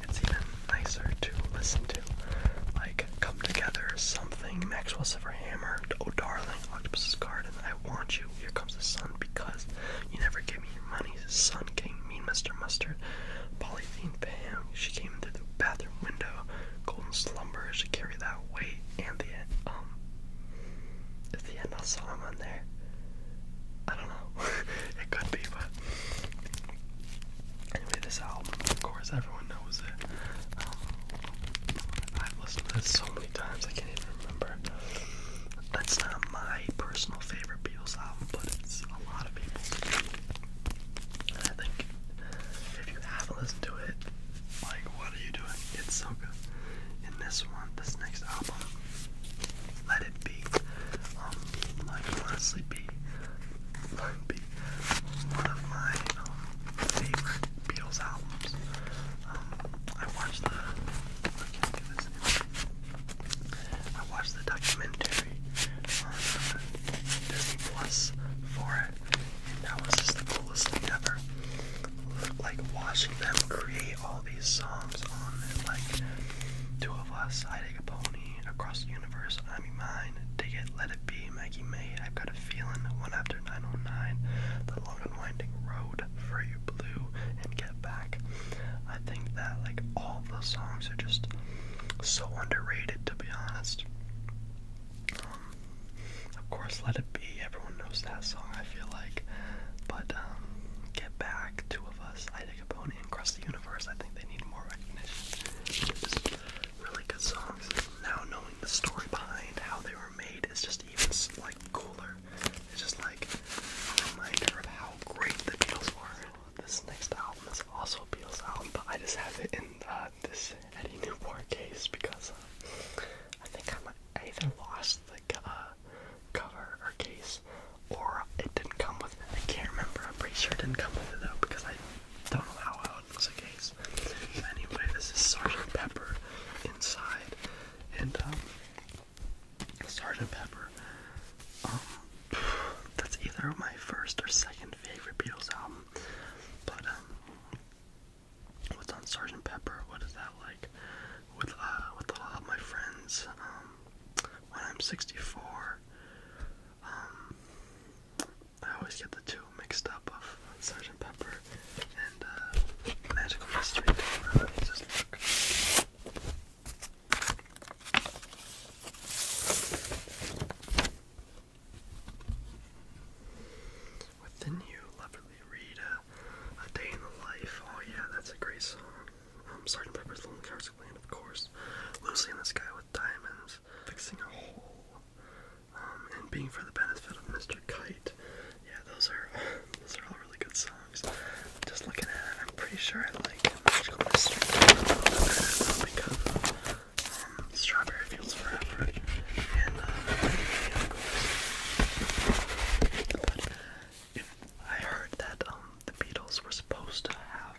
And it's even nicer to listen to. Like come together something, Maxwell Silver Hammer, Oh Darling, Octopus's Garden, I Want You, Here Comes the Sun, Because You Never gave Me Your Money, Sun King, Mean Mr. Mustard, Polythene Pam, She Came Through the Bathroom Window, Golden Slumber, She Carried That Weight, and the um at the end, I saw him on there. I don't know. it could be, but anyway, this album, of course, everyone knows it. Um, I've listened to this so many times, I can't even remember. That's not my personal favorite Beatles album, but it's a lot of people's. And I think if you haven't listened to it, like, what are you doing? It's so good. In this one, this next album, Let It Be. Um, like, honestly, be, like, be one of my um, favorite Beatles albums. Um, I watched the. I watched the documentary on uh, Plus for it, and that was just the coolest thing ever like watching them create all these songs on Like Two of Us, I Take a Pony, Across the Universe, I Be Mine, Dig It, Let It Be, Maggie May, I've Got a Feeling, One After 909, The Long and Winding Road, For You Blue, and Get Back. I think that like all the songs are just so underrated to be honest. Um, of course, Let It Be. Everyone knows that song, I feel like. But um, Get Back, Two of Us, Ida Capone, and Across the Universe, I think they need more recognition. Just really good songs. Now knowing the story behind how they were made is just even like cooler. It's just like a reminder of how great the Beatles were. This next album is also a Beatles album, but I just have it in uh, this Eddie Newport case because uh, I think I might I either lost the uh, cover or case, or it didn't come with it. I can't remember. I'm pretty sure it didn't come with it though, because I don't know how well it was a case. Anyway, this is Sergeant Pepper inside, and um, Sergeant Pepper. Um, that's either my first or second favorite Beatles album, but um, What's on Sergeant Pepper? What is that like? With uh, with a lot of my friends. Um, when I'm 64, um, I always get the two mixed up of Sergeant Pepper and uh, Magical Mystery Tour. Let me just read A Day in the Life. Oh, yeah, that's a great song. Um, Sergeant Pepper's Lonely Hearts Clan, of course. Lucy in the Sky with Diamonds. Fixing a Hole. Um, and Being for the Benefit of Mr. Kite. Yeah, those are those are all really good songs. Just looking at it, I'm pretty sure I like um, Strawberry Fields Forever uh, I heard that um, the Beatles were supposed to have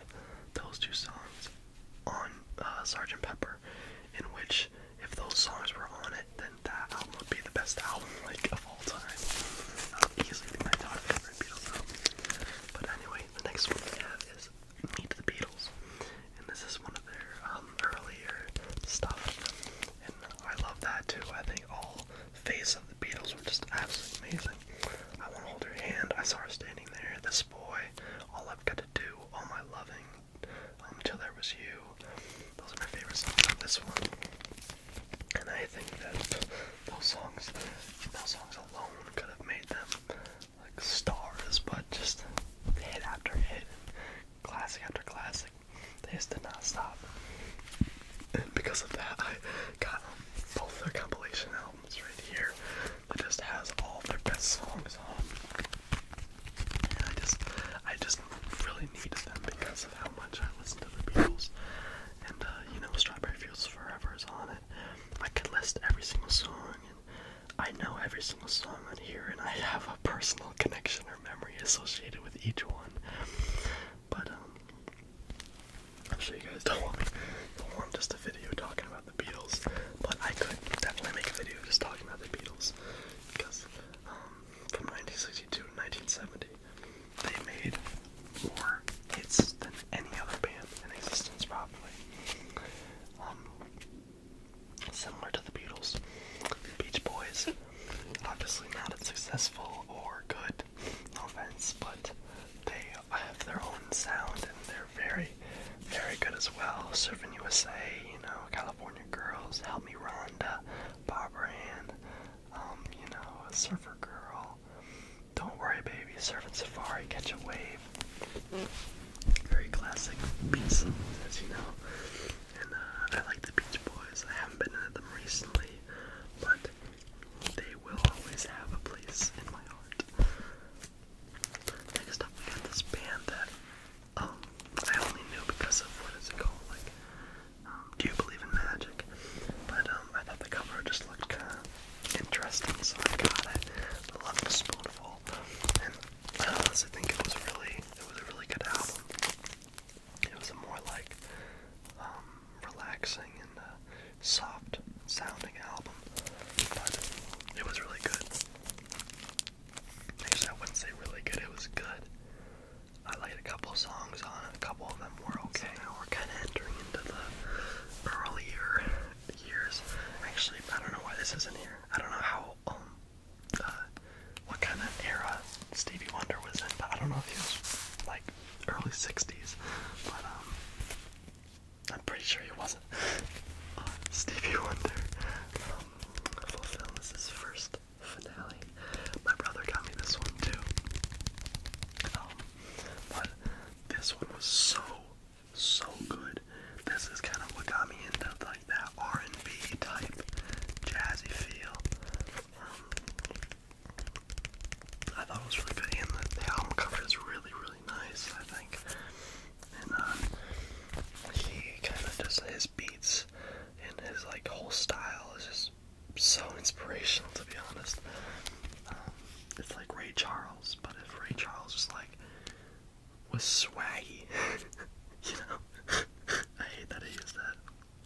those two songs on uh, Sgt. Pepper, in which if those songs were on it, then that album would be the best album like of all time. Um, easily my top favorite Beatles album. But anyway, the next one we have is Meet the Beatles, and this is one of their um, earlier stuff. And I love that too. I think all phases of the Beatles were just absolutely amazing. I want to hold her hand. I saw her standing there. This boy. All I've got to do. All my loving. Until um, there was you. Those are my favorite songs on this one. And I think that those songs, those songs alone could have made them like stars, but just hit after hit, classic after classic. They just did not stop. And because of that, I got both their compilation albums right here. It just has all their best songs on. And I just, I just really needed them because of how much I listen to the Beatles. And uh, you know, Strawberry Fields Forever is on it. I could list every single song, and I know every single song on here, and I have a personal connection or memory associated with each one. But um, I'm sure you guys don't want me don't just a video talking about the Beatles. But I could definitely make a video just talking about the Beatles. Because um, from nineteen sixty two to nineteen seventy they made more hits than any other band in existence probably. Um, similar to the Beatles, Beach Boys obviously not as successful or good, no offense, but they have their own sound and they're very, very good as well. Surfing USA, you know, California Girls, Help Me Rhonda, Barbara Ann, um, you know, Surfer Girl, Don't Worry Baby, Surfing Safari, Catch a Wave. Very classic piece, as you know. And uh, I like the Beach Boys. I haven't been into them recently, but they will always have a place in my heart. Next up, we got this band that um, I only knew because of what is it called? Like, um, do you believe in magic? But um, I thought the cover just looked kind of interesting, so I got it. I love the spoonful, and uh, I honestly think it was really, it was a really good album. It was a more like um, relaxing and uh, soft sounding album, but it was really good. Actually, I wouldn't say really good. It was good. I liked a couple songs on it. A couple of them were okay. now we're kind of entering into the earlier years. Actually, I don't know why this isn't here. I don't know how um, uh, what kind of era Stevie Wonder was in, but I don't know if he was like early 60s, but um, I'm pretty sure he wasn't. Uh, Stevie Wonder um, is his first finale. My brother got me this one too. Um, but this one was so, so good. This is kind of what got me into like that R&B type jazzy feel. I thought it was really good, and the, album cover is really, really nice. I think, and uh, he kind of just his beats and his like whole style is just so inspirational, to be honest. Um, it's like Ray Charles, but if Ray Charles was like was swaggy, you know, I hate that he used that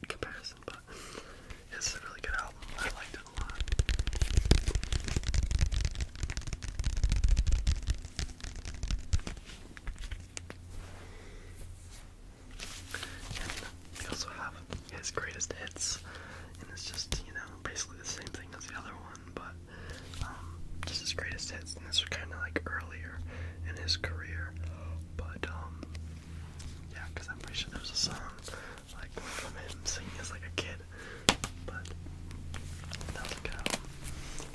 comparison, but it's a really good album. I liked it a lot. we also have his greatest hits, and it's just, you know, basically the same thing as the other one, but um, just his greatest hits, and this kind of like earlier in his career, but um, yeah, because I'm pretty sure there's a song like from him singing as like a kid. But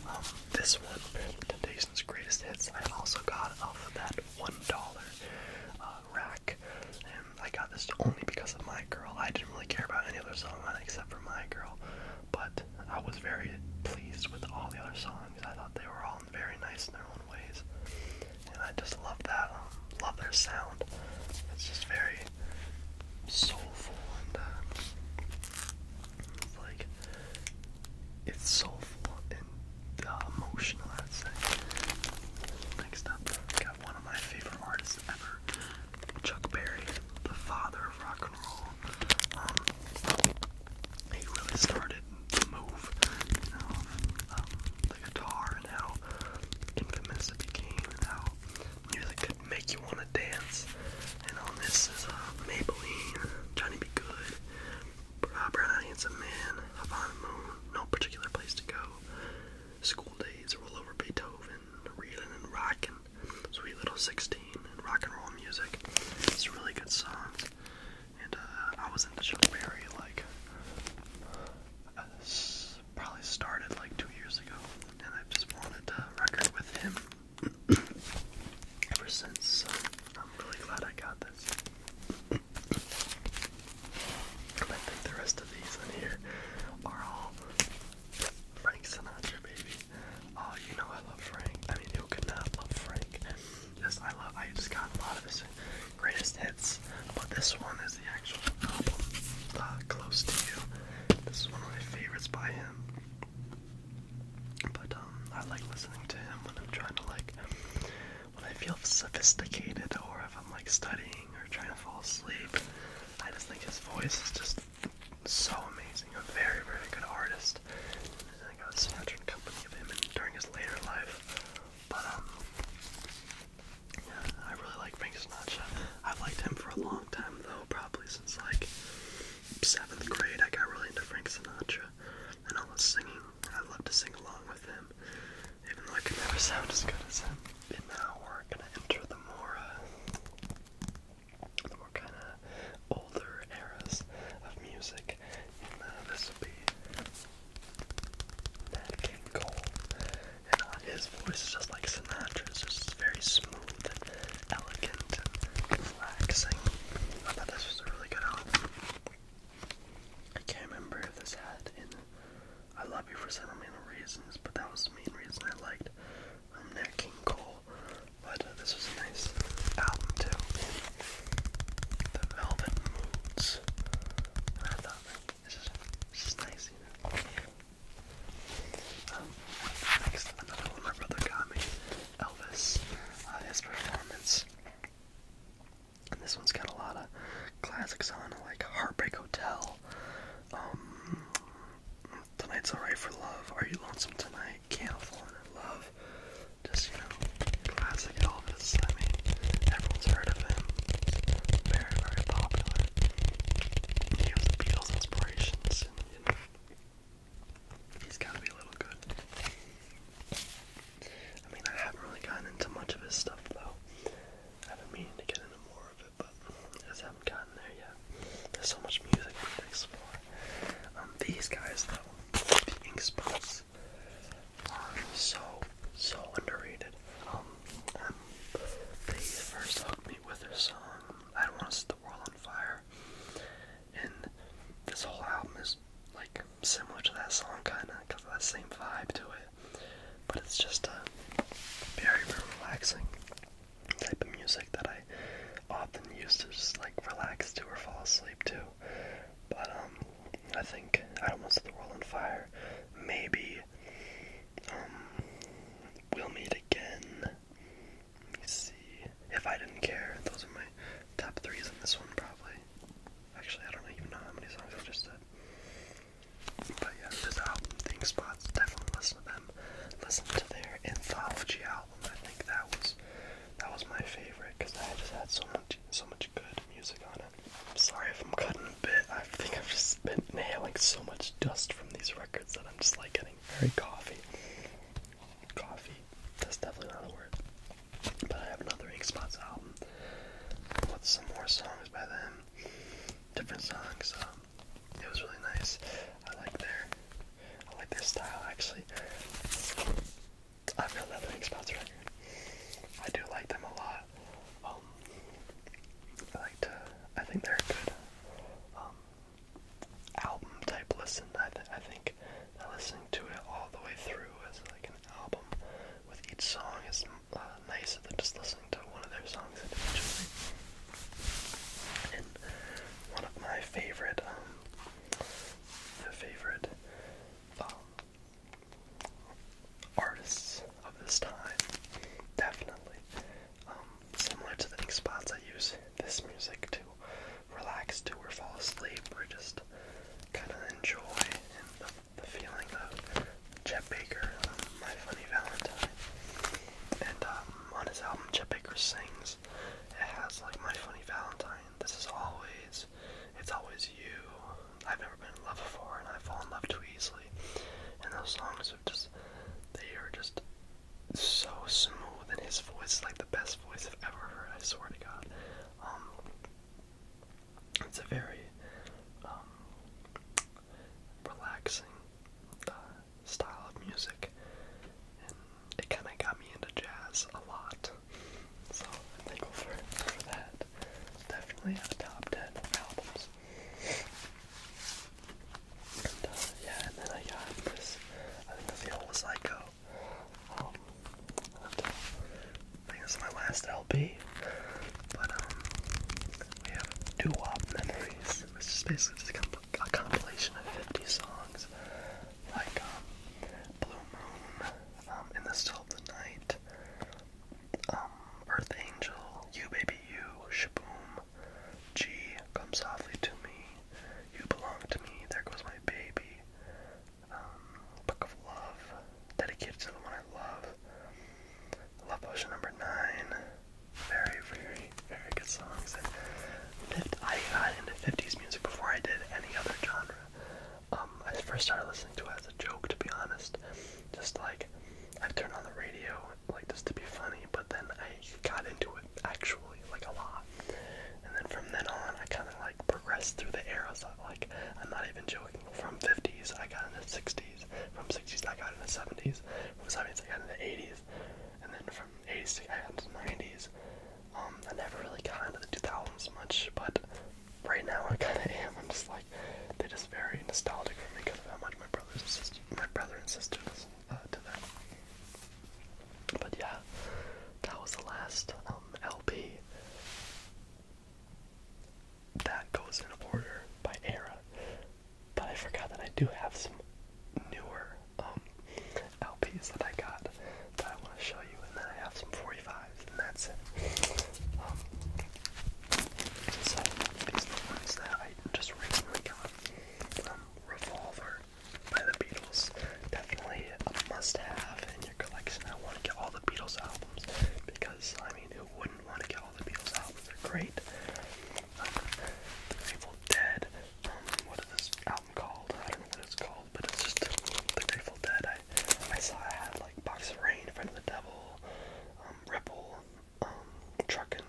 um, this one, apparently Temptations Greatest Hits, I also got off of that $1 uh, rack. And I got this only because of My Girl. I didn't really care about any other song on it except for My Girl. But I was very pleased with all the other songs. I thought they were all very nice in their own ways, and I just love that. Um, love their sound. It's just very soulful and uh, like it's soulful and uh, emotional. I'd say. Next up, got one of my favorite artists ever, Chuck Berry, the father of rock and roll. Um, he really started the move you know, um, the guitar and how infamous it became and how music could make you want to dance. And on this is uh, Maybelline, Johnny Be Good, uh, Brown Eyed Man, Havana Moon, No Particular Place to Go, School Days, Roll Over Beethoven, reeling and rocking, Sweet Little 16, and Rock and Roll Music. It's really good songs and uh, I was in the show Chilberry like uh, probably started like two years ago, and I've just wanted to record with him ever since. So I'm really glad I got this. I think the rest of these in here are all Frank Sinatra, baby. Oh, you know I love Frank. I mean, who could love Frank? Yes, I love. I just got a lot of his greatest hits, but this one is the actual album, uh, "Close to You." This is one of my favorites by him. But um, I like listening to him when I'm trying to like, when I feel sophisticated or if I'm like studying or trying to fall asleep. I just think his voice is just so amazing. A very, very good artist. I got a snatched company of him during his later life. But um, yeah, I really like Frank Sinatra. I've liked him for a long time though, probably since like seventh grade. I got really into Frank Sinatra and all his singing. I love to sing along with him, even though I could never sound as good as him. And now we're gonna enter the more, uh, the more kind of older eras of music this will be Nat King Cole. And uh, his voice is just like Sinatra's, just very smooth elegant relaxing. I thought this was a really good album. I can't remember if this had I Love You for Several Million Reasons, but that was the main reason I liked um, Nat King Cole. But uh, this was a nice album too the Velvet Moods. I thought, this is, nice, you know? Um, next, one my brother got me, Elvis, uh, his performance. this one's got a lot of classics on, like Heartbreak Hotel, um, Tonight's Alright for Love, Are You Lonesome Tonight, Candle Fall in Love, just, you know, classic Elvis. I mean, everyone's heard of him. very, very popular. He was the Beatles' inspirations, he's gotta be a little good. I mean, I haven't really gotten into much of his stuff, though. I've been meaning to get into more of it, but I just haven't gotten there yet. There's so much music to explore. Um, these guys, though, the Spots so, so underrated. Um, they um, first hooked me with their song, um, I Don't Want to Set the World on Fire. And this whole album is like similar to that song, kind of, because of that same vibe to it. But it's just a very, very relaxing type of music that I often use to just like relax to or fall asleep to. But um, I think I don't want to set the world on fire. Maybe um, we'll meet again. Let me see. If I didn't care, those are my top threes in this one probably. Actually, I don't even know how many songs I've just said. But yeah, this album, Thing Spots, definitely listen to them. Listen to their anthology album. I think that was that was my favorite because I just had so much so much good music on it. I'm sorry if I'm cutting a bit. I think I've just been inhaling so much dust from these records that I'm just like getting very coffee. Coffee. That's definitely not the word. But I have another Ink Spots album with some more songs by them. Different songs. Um, it was really nice. I like their I like their style actually. I really like the Expanse record. I do like them a lot. Um, I like to. I think they're a good um, album type listen. I, I think listening to it all the way through as like an album with each song is uh, nicer than just listening to one of their songs individually. And one of my favorite, um, favorite um, artists of this time, definitely. Um, similar to the next spots, I use this music to relax to or fall asleep or just kind of enjoy and the, feeling of Chet Baker, um, My Funny Valentine. And um, on his album, Chet Baker Sings, it has like My Funny Valentine, This Is Always, it's always you. I've never been in love before and I fall in love too easily. And those songs are just they are just so smooth and his voice is like the best voice I've ever heard, I swear to God. Um, it's a very um, relaxing uh, style of music and it kinda got me into jazz a lot so I'm thankful for, for that. Definitely a top 10 albums. Uh, yeah, and then I got this, I think it's the old Psycho. Um, uh, I think this my last LP, but um, we have Doo Memories. It's just basically just a compilation of 50 songs like um, Blue Moon, um, In the Still of the Night, um, Earth Angel, You Baby You, Shaboom, G, Come Softly to Me, You Belong to Me, There Goes My Baby, um, Book of Love, Dedicated to the One I Love, Love Potion Number 9, very, very, very good songs. I got into 50s music before I did any other genre. Um, I first started listening to it as a joke, to be honest. Just like I turned on the radio, like just to be funny. But then I got into it actually, like a lot. And then from then on, I kind of like progressed through the eras. So, like I'm not even joking. From 50s, I got into 60s. From 60s, I got into 70s. From 70s, I got into 80s. And then from 80s, I got into 90s. Um, I never really got into the 2000s much, but right now I kind of am. I'm just like, they're just very nostalgic for me because of how much my brothers and sister, my brother and sister listen uh, to them. But yeah, that was the last um, LP that goes in order by era. But I forgot that I do have some newer um, LPs that I got that I want to show you, and then I have some 45s, and that's it. Um, so these are the ones that I just recently got from Revolver by the Beatles. Definitely a must-have in your collection. I want to get all the Beatles albums because I mean, who wouldn't want to get all the Beatles albums? They're great. Um, the Grateful Dead. Um, what is this? called. I don't know what it's called, but it's just the Grateful Dead. I I saw I had like Box of Rain, Friend of the Devil, um, Ripple, um, Truckin',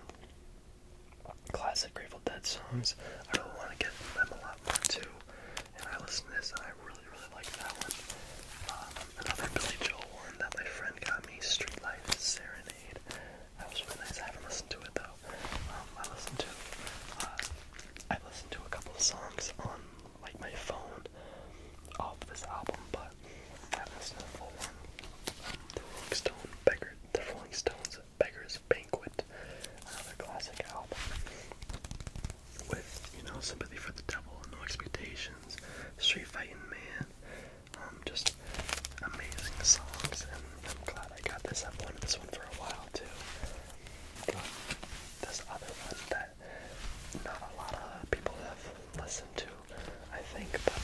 classic Grateful Dead songs. I really want to get them a lot more too. And I listen to this, I really really like that one. Um, another Billy Joel one that my friend got me, Street Life Serenade. That was really nice. I haven't listened to it though. Um, I listened to. Uh, I listened to a couple of songs on like my phone off this album, but that was the full um, the Rolling Stone Beggar, the Rolling Stones Beggar's Banquet, another classic album with you know sympathy for the devil, no expectations, street fighting man, um, just amazing songs, and I'm glad I got this. I've wanted this one for a while too. this other one that that not a lot of people have listened to, I think, but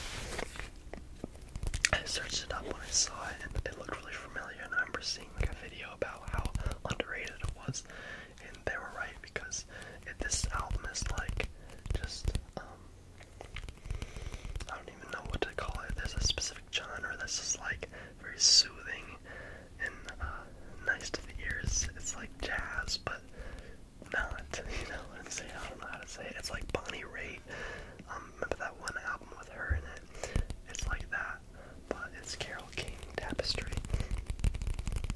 I searched it up when I saw it and it looked really familiar and I remember seeing like a video about how underrated it was and they were right because it, this album is like just um I don't even know what to call it. There's a specific genre that's just like very soothing and uh, nice to the ears. It's like jazz, but not. You know what I'm I don't know how to say it. It's like Bonnie Raitt. Um, remember that one album with her in it? It's like that, but it's Carol King Tapestry.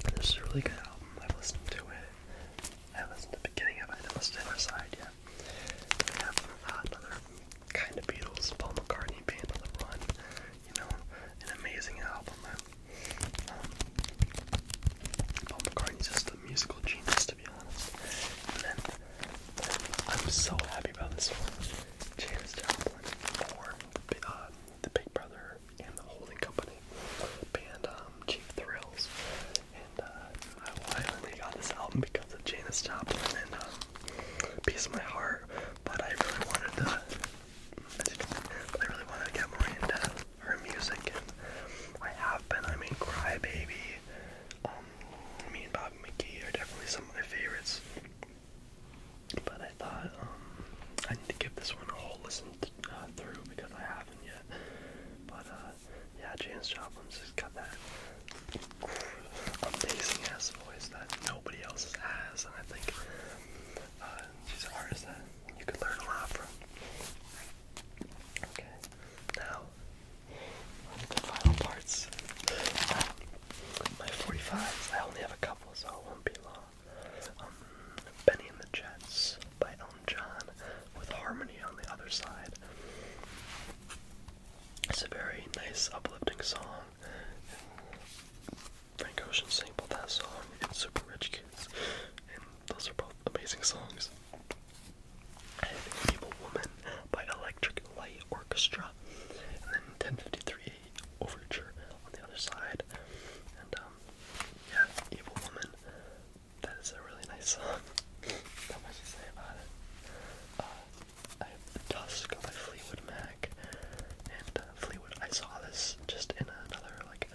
And this is a really good album. I've listened to it. I listened to the beginning of it. I haven't listened to the side yet. We have uh, another kind of Beatles, Paul McCartney band on the run you know, an amazing album. Um, Paul McCartney's just a musical genius, to be honest. And I'm so happy about this one. Janis Joplin uh, the, Big Brother and the Holding Company band um, Thrills. And uh, I finally got this album because of Janis Joplin and um, My Heart, but I really wanted to I, really wanted to get more into her music, and I have been. I mean, Crybaby, um, me and Bobby McGee are definitely some of my favorites. But I thought um, I need to give this one a whole listen uh, through because I haven't yet. But uh, yeah, James Joplin's just got that amazing ass voice that nobody else has, and I think uh, she's an artist that you can learn a lot from. Okay, now the final parts. My 45s, I only have a couple, so it won't be long. Um, Benny and the Jets by Elton John with Harmony on the other side. It's a very nice, uplifting song. Frank Ocean both that song and Super Rich Kids, and those are both amazing songs. I have Evil Woman by Electric Light Orchestra, and then 1053 Overture on the other side, and um, yeah, Evil Woman. That is a really nice song. Not much to say about it. Uh, I have the Dusk by Fleetwood Mac and uh, Fleetwood. I saw this just in another like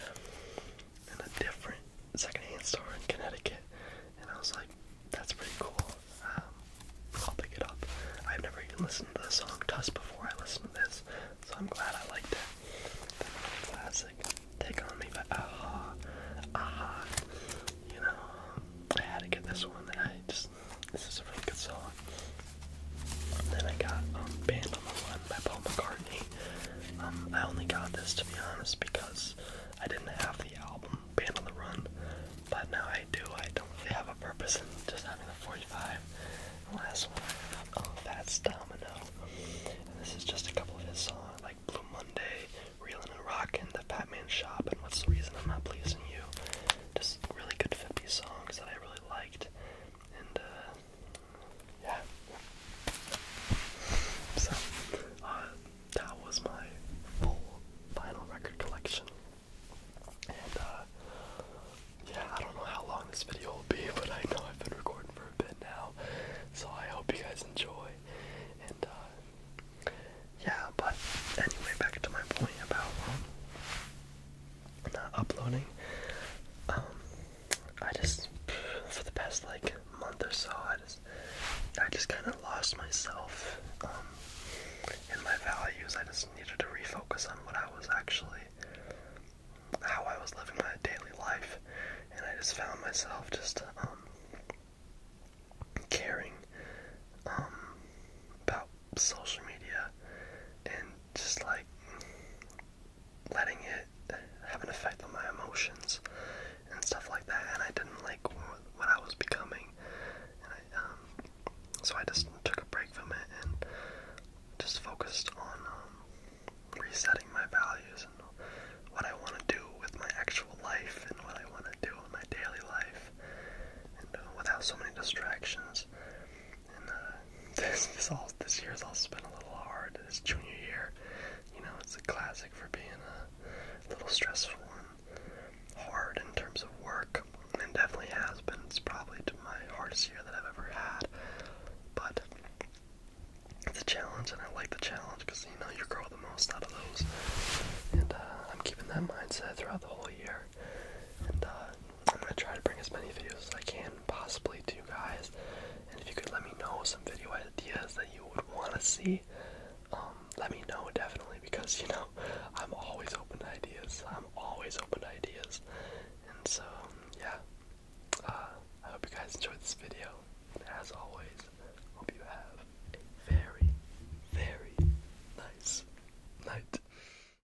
in a different secondhand store in Connecticut, and I was like, "That's pretty cool." Um, I'll pick it up. I've never even listened to the song Tuss before I listened to this, so I'm glad I liked it. classic Take On Me by Aha. Aha. You know, I had to get this one, this is a really good song. then I got um, Band on the Run by Paul McCartney. Um, I only got this to be honest because I didn't have the album Band on the Run, but now I do. I don't really have a purpose in just having the 45. last one I got, um, Domino. this is just a couple of his songs like Blue Monday, Reelin' and Rockin', The Fat Shop, and What's the Reason I'm Not Pleasing You. Just really good 50 songs that I really liked and uh, yeah. So uh, that was my full record collection, and uh, yeah, I don't know how long this video will be, but I know I've been recording for a bit now, so I hope you guys enjoy, and yeah. But anyway, back to my point about. Um, not uploading. Um, I just for the past like month or so, I just I just kind of lost myself um, in my values. I just needed to refocus on what I was actually, how I was living my daily life, and I just found myself just um, caring about social media and just like letting it have an effect on my emotions and stuff like that. And I didn't like what I was becoming, and um, so I just took a break from it and just focused on um, resetting my values and what I want to do with my actual life and what I want to do in my daily life, and uh, without so many distractions and uh, this this all this year's also been a little hard. This junior year, you know, it's a classic for being a little stressful and hard in terms of work, and definitely has been. It's probably my hardest year that I've ever had, but it's a challenge, and I like the challenge because you know you grow the most out of those, and uh, I'm keeping that mindset throughout the whole year. And uh, I'm gonna try to bring as many videos as I can possibly to you guys. And if you could let me know some video ideas that you would want to see, um, let me know definitely because you know I'm always open to ideas. I'm always open to ideas. And so yeah, uh, I hope you guys enjoyed this video. as always, hope you have a very, very nice night.